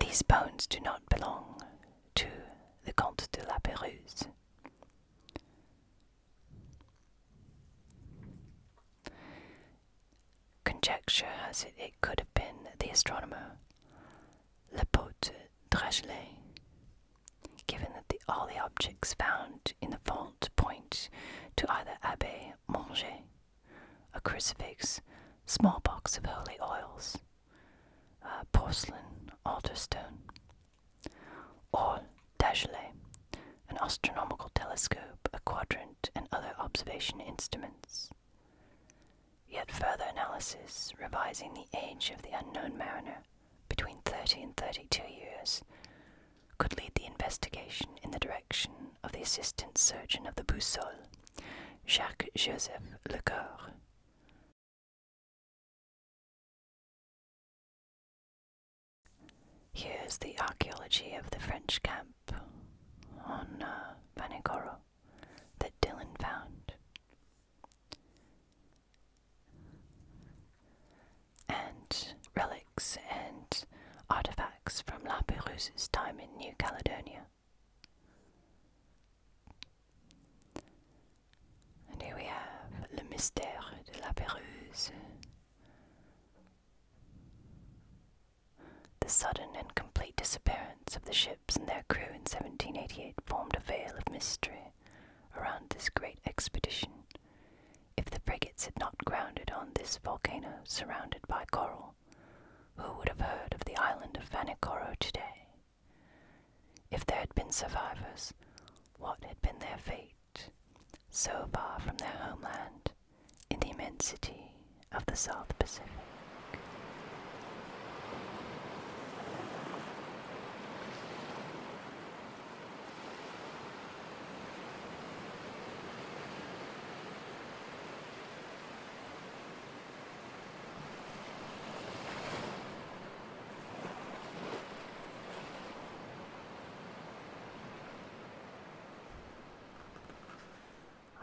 these bones do not belong to the Comte de la Pérouse. Conjecture has it it could have been the astronomer Lepote Drachelet. Given that all the objects found in the vault point to either Abbe Manger, a crucifix, small box of holy oils, uh, porcelain altar stone, or Dagelet, an astronomical telescope, a quadrant, and other observation instruments. Yet further analysis, revising the age of the unknown mariner, between 30 and 32 years, could lead the investigation in the direction of the assistant surgeon of the Boussole, Jacques Joseph Le Lecoeur. Here's the archaeology of the French camp on uh, Vanikoro that Dylan found and relics and artifacts from La Perouse's time in New Caledonia. And here we have Le Mystère de La Perouse. The sudden and complete disappearance of the ships and their crew in 1788 formed a veil of mystery around this great expedition. If the frigates had not grounded on this volcano surrounded by coral, who would have heard of the island of Vanikoro today? If there had been survivors, what had been their fate, so far from their homeland, in the immensity of the South Pacific?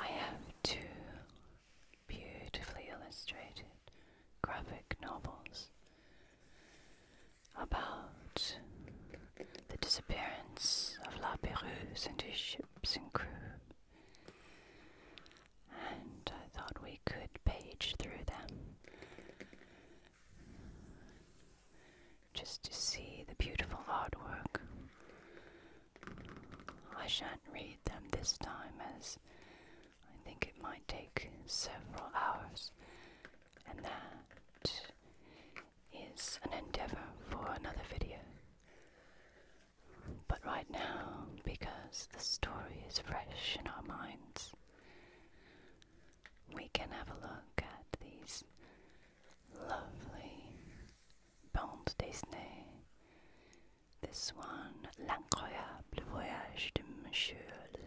I have two beautifully illustrated graphic novels about the disappearance of La Perouse and his ships and crew, and I thought we could page through them just to see the beautiful artwork. I shan't read them this time as I think it might take several hours, and that is an endeavor for another video. But right now, because the story is fresh in our minds, we can have a look at these lovely bandes dessinées. This one, L'incroyable voyage de Monsieur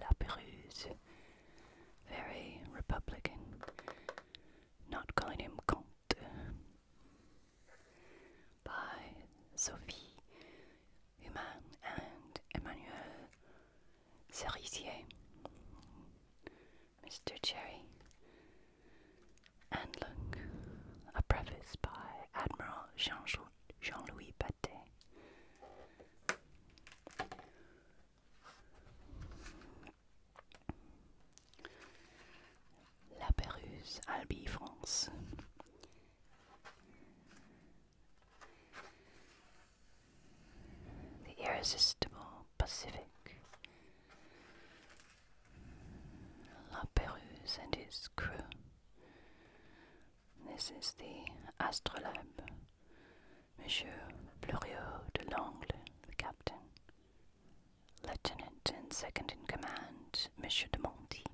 Laperuse very Republican. Not calling him Comte. By Sophie Human and Emmanuel Cerisier. Mr. Cherry. And look, a preface by Admiral Jean, Jean Louis Paté. La Pérouse, Albi, France. The irresistible Pacific. La Pérouse and his crew. This is the astrolabe, Monsieur Bluriot de Langle, the captain. Lieutenant and second in command, Monsieur de Monty,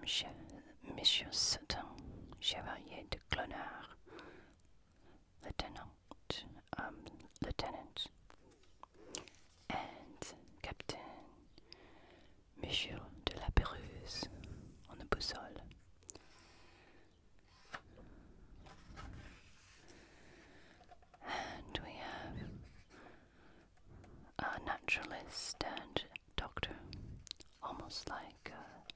Monsieur, um, Monsieur Sutton, Chevalier de Clonard, Lieutenant, um, Lieutenant, and Captain Monsieur de la Pérouse on the boussole. And we have a naturalist and doctor, almost like uh,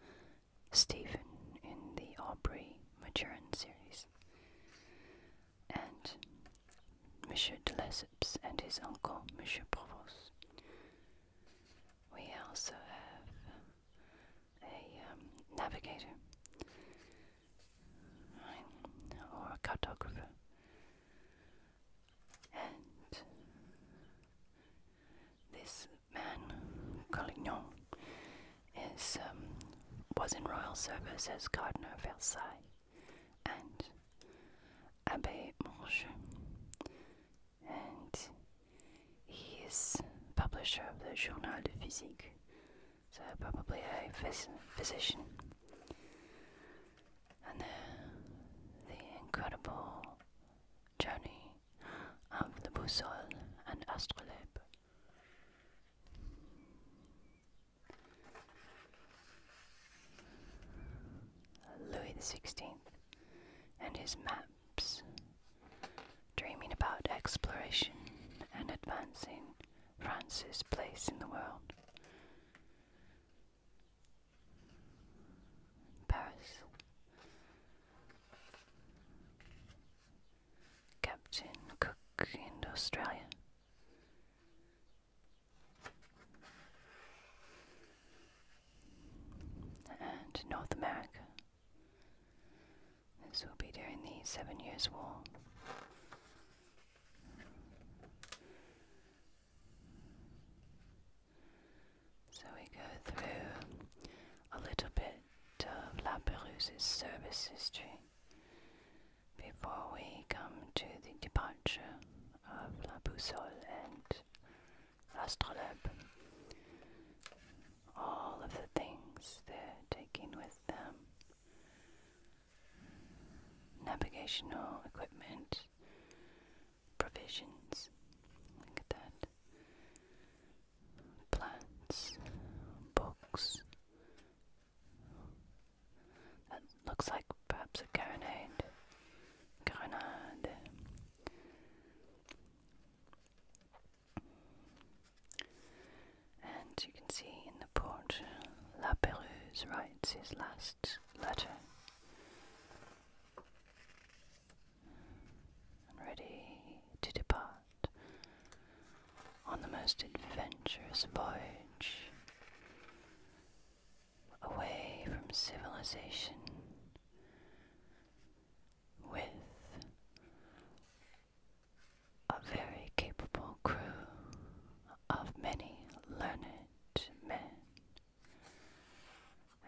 Stephen in the Aubrey Maturin series. And Monsieur de Lesseps and his uncle, Monsieur Provost, we also have um, a um, navigator, or a cartographer, and this man, Collignon, is um, was in royal service as gardener of Versailles and Abbe Monge and he is publisher of the Journal de Physique, so probably a phys physician. And then uh, the incredible journey of the Boussole and Astrolabe. Louis the Sixteenth and his maps, dreaming about exploration and advancing France's place in the world. Paris. Captain Cook in Australia and North America. This will be during the Seven Years' War. So we go through a little bit of La Perouse's service history before we come to the departure of La Boussole and Astrolabe. All of the things they're taking with them. Navigational equipment, provisions. Look at that. Plants, books. That looks like perhaps a carronade. Grenade. And you can see in the port, La Perouse writes his last letter. And ready to depart on the most adventurous voyage away from civilization with a very capable crew of many learned men.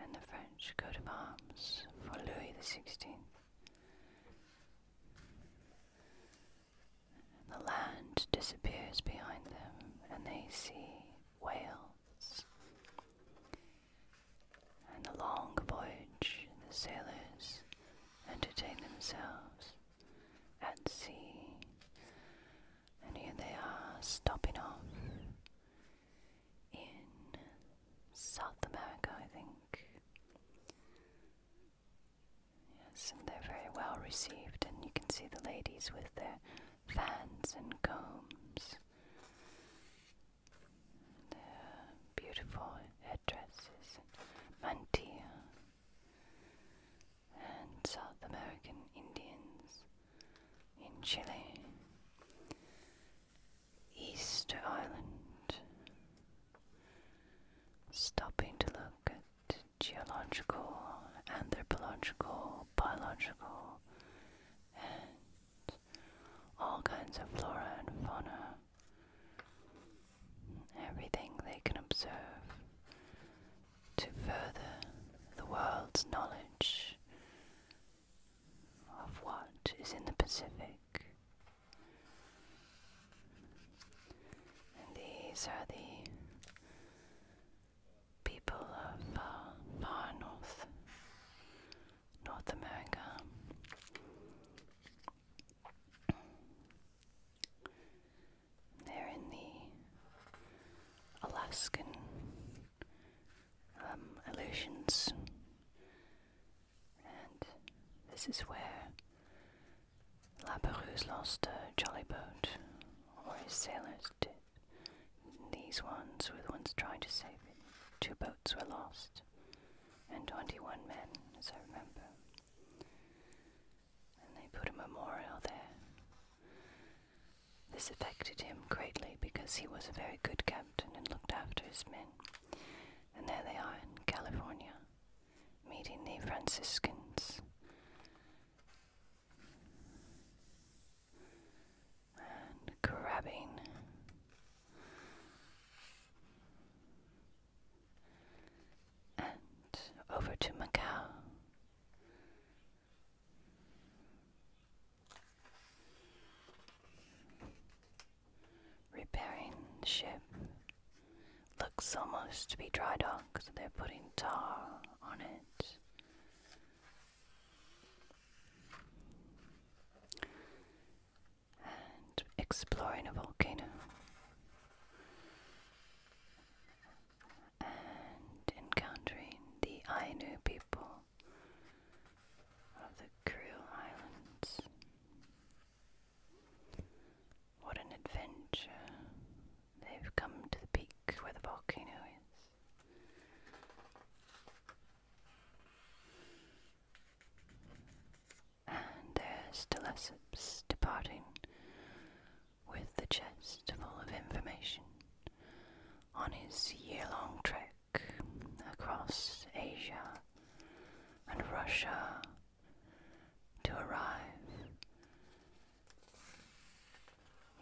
And the French coat of arms for Louis XVI. The land disappears behind them, and they see Wales and the long voyage the sailors entertain themselves at sea, and here they are stopping off in South America, I think. Yes, and they're very well received, and you can see the ladies with their fans and combs, the beautiful headdresses, mantilla, and South American Indians in Chile, Easter Island, stopping to look at geological, anthropological, biological, and all kinds of flora and fauna, everything they can observe to further the world's knowledge of what is in the Pacific. these are the people of uh, far north, North America. They're in the Alaskan um, illusions, and this is where La Perouse lost a jolly boat, or his sailors did. These ones were the ones trying to save it. Two boats were lost, and 21 men, as I remember. And they put a memorial there. This affected him greatly because he was a very good captain and looked after his men. And there they are in California, meeting the Franciscans and grabbing. And over to Macau. Repairing ship. Looks almost to be dry dock, so they're putting tar on it and exploring a volcano and encountering the Ainu people of the Kuril Islands. What an adventure! They've come to the peak where the volcano is. And there's Telesipes departing with the chest full of information on his year long trek across Asia and Russia to arrive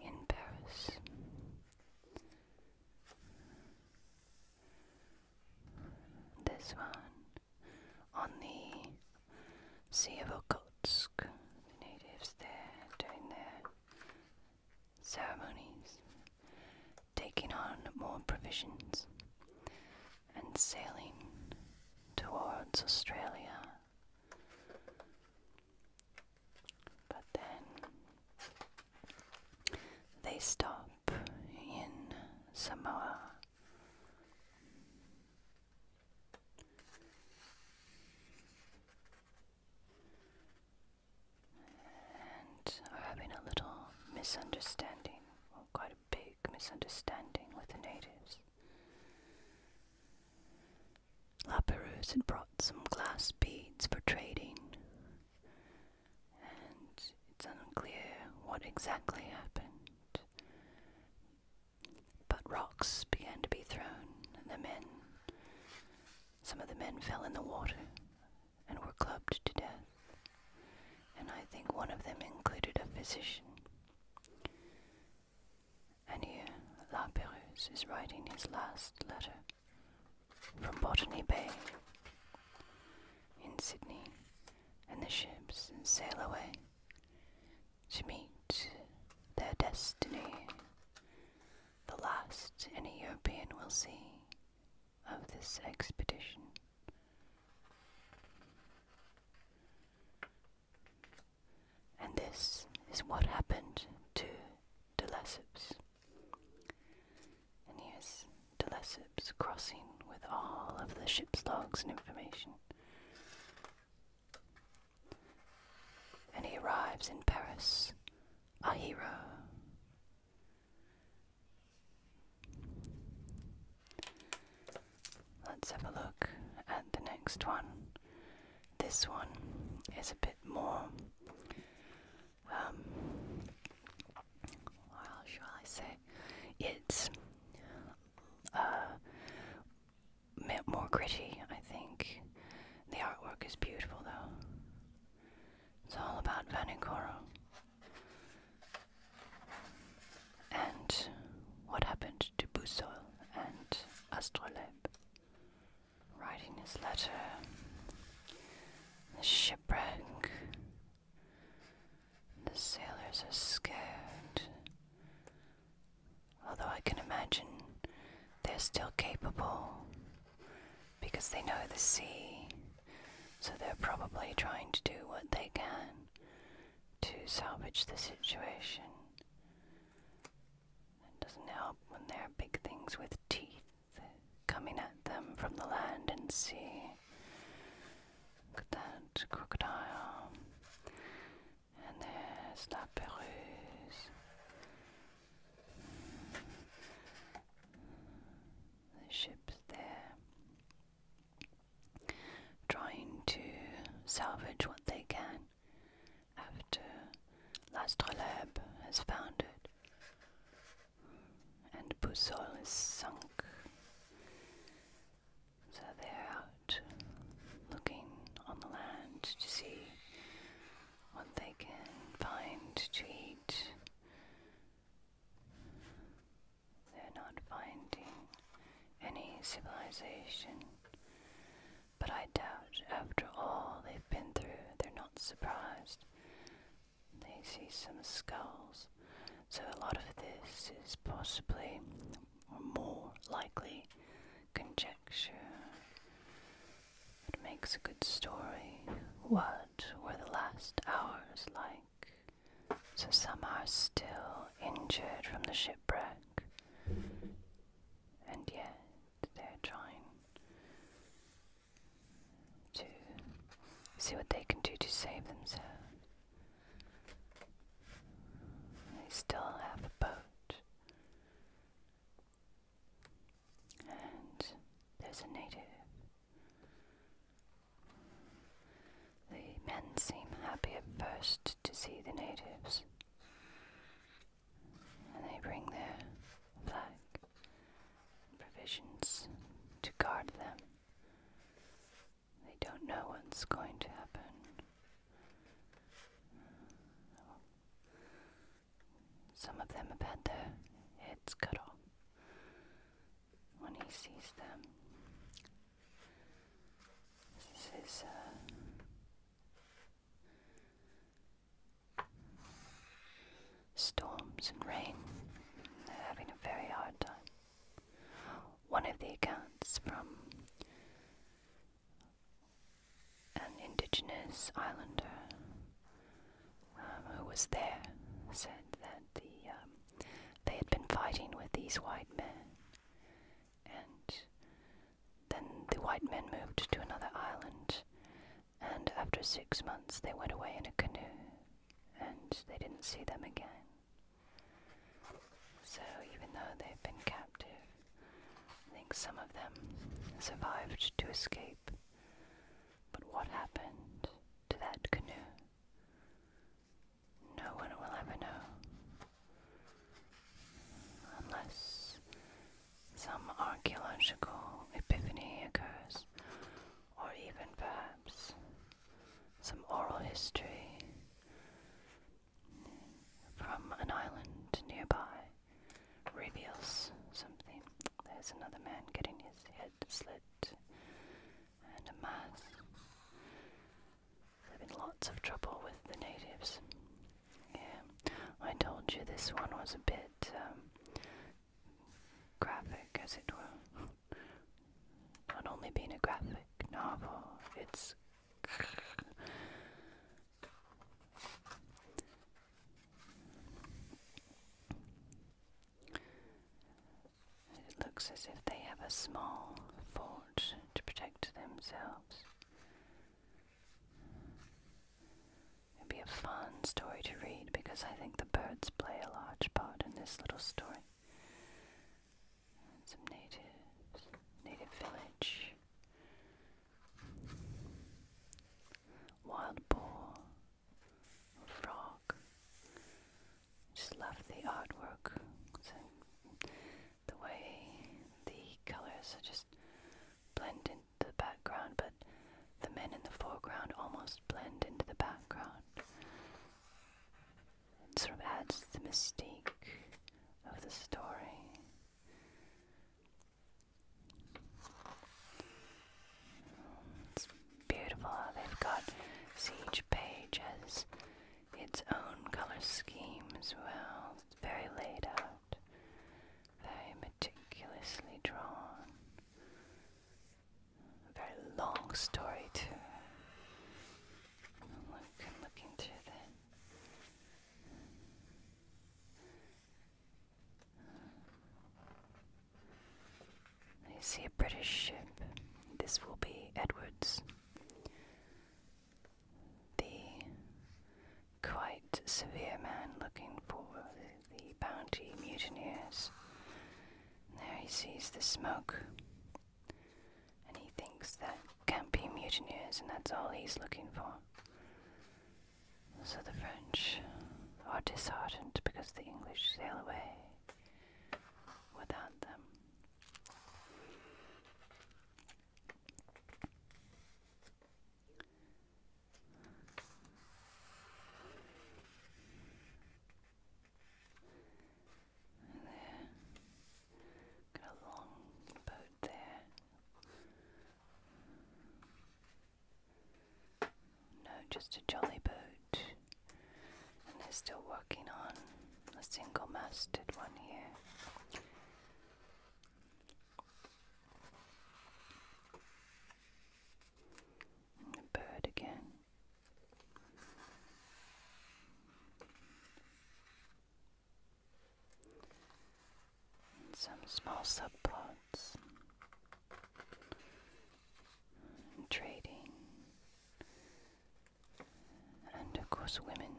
in Paris. This one on the Sea of Okhotsk, the natives there doing their ceremonies, taking on more provisions and sailing towards Australia. But then they stop in Samoa. And are having a little misunderstanding, well, quite a big misunderstanding with the natives. La had brought some glass beads for trading, and it's unclear what exactly happened. But rocks began to be thrown, and the men, some of the men fell in the water and were clubbed to death, and I think one of them included a physician. And here La is writing his last letter from Botany Bay in Sydney and the ships sail away to meet their destiny, the last any European will see of this expedition. And this is what happened to de Lesseps. And here's De Lesseps crossing with all of the ship's logs and information. And he arrives in Paris, a hero. Let's have a look at the next one. This one is a bit more um, what shall I say? It's uh, more gritty, I think. The artwork is beautiful, though. It's all about Vanikoro and what happened to Busoil and Astrolabe writing this letter, the shipwreck. The sailors are scared. Although I can imagine they're still capable because they know the sea, so they're probably trying to do what they can to salvage the situation. It doesn't help when there are big things with teeth coming at them from the land and sea. Look at that crocodile. And there's La Perouse. The ship's there. Trying to salvage what they can after L'astrolabe has found it, and Boussole is sunk. So they're out looking on the land to see what they can find to eat. They're not finding any civilization, but I doubt. After all they've been through, they're not surprised. They see some skulls. So a lot of this is possibly, or more likely, conjecture. It makes a good story? What were the last hours like? So some are still injured from the shipwreck, and yet they're trying to see what they can do to save themselves. They still have a boat. And there's a native. The men seem happy at first to see the natives and they bring their flag provisions to guard them. They don't know what's going to happen. Some of them have had their heads cut off when he sees them. This is his uh, Storms and rain, they're having a very hard time. One of the accounts from an indigenous islander um, who was there said that the um, they had been fighting with these white men, and then the white men moved to another island, and after six months they went away in a canoe and they didn't see them again. So even though they've been captive, I think some of them survived to escape. But what happened to that canoe? No one will ever know. Unless some archaeological epiphany occurs, or even perhaps some oral history from an island nearby reveals something. There's another man getting his head slit and a mask. They've been lots of trouble with the natives. Yeah, I told you this one was a bit um, graphic, as it were. Not only being a graphic novel, it's. It looks as if they have a small fort to protect themselves. It'd be a fun story to read because I think the birds play a large part in this little story. some natives, native village, wild boar, frog. Just love the artwork. the way the colors are just blend the background, but the men in the foreground almost blend into the background. It sort of adds to the mystique of the story. It's beautiful how they've got, each page has its own color scheme as well. very laid out very meticulously drawn. A very long story too. i looking through the I see a British ship. This will be Edwards. The quite severe man looking for the bounty mutineers. there he sees the smoke. And he thinks that can't be mutineers, and that's all he's looking for. So the French are disheartened because the English sail away without them. Got a long boat there. No, just a jolly boat. And they're still working on a single masted one here. And bird again. some small subplots. And trading. And of course, women.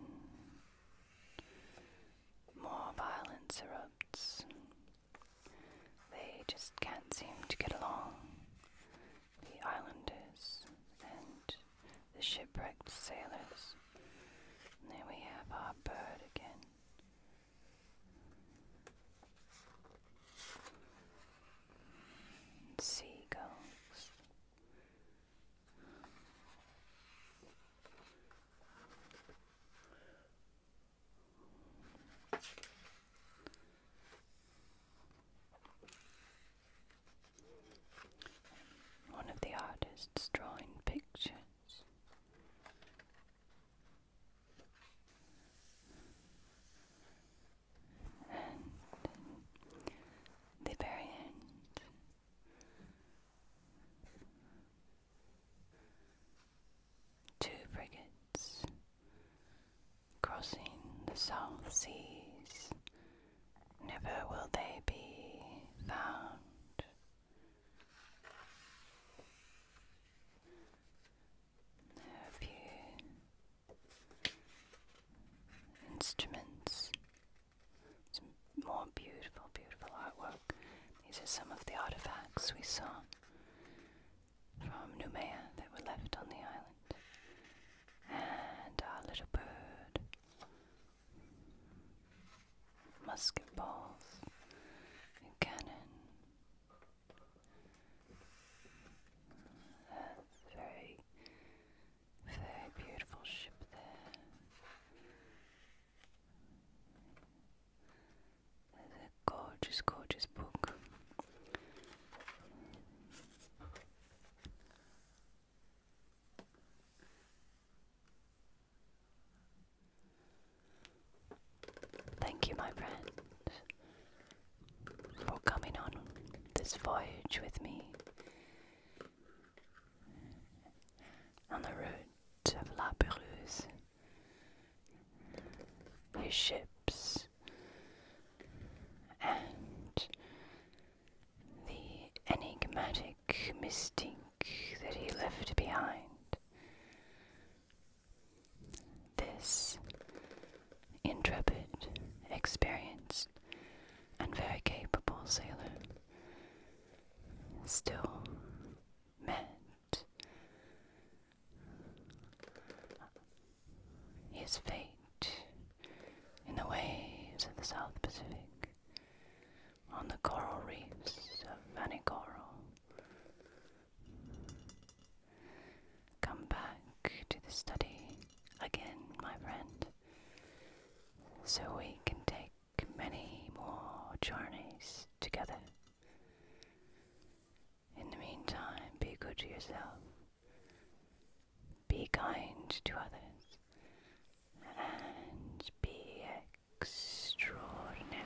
More violence erupts. They just can't seem to get along. The islanders and the shipwrecked sailors. And then we have our bird again. seagulls. One of the artists drawing pictures. And the very end, Two frigates crossing the South Seas, never will they be found. A few instruments, some more beautiful, beautiful artwork. These are some of the artifacts we saw from Noumea that were left on the island, and our little bird, musket balls, and cannon. very, very beautiful ship there. It's a gorgeous, gorgeous book. Thank you, my friend, for coming on this voyage with me on the route of La your ships and the enigmatic mistake that he left behind. This intrepid, experienced, and very capable sailor still men his fate in the waves of the South Pacific, on the coral reefs of Vanikoro. Come back to the study again, my friend, so we can take many more journeys together. In the meantime, be good to yourself, be kind to others, and be extraordinary.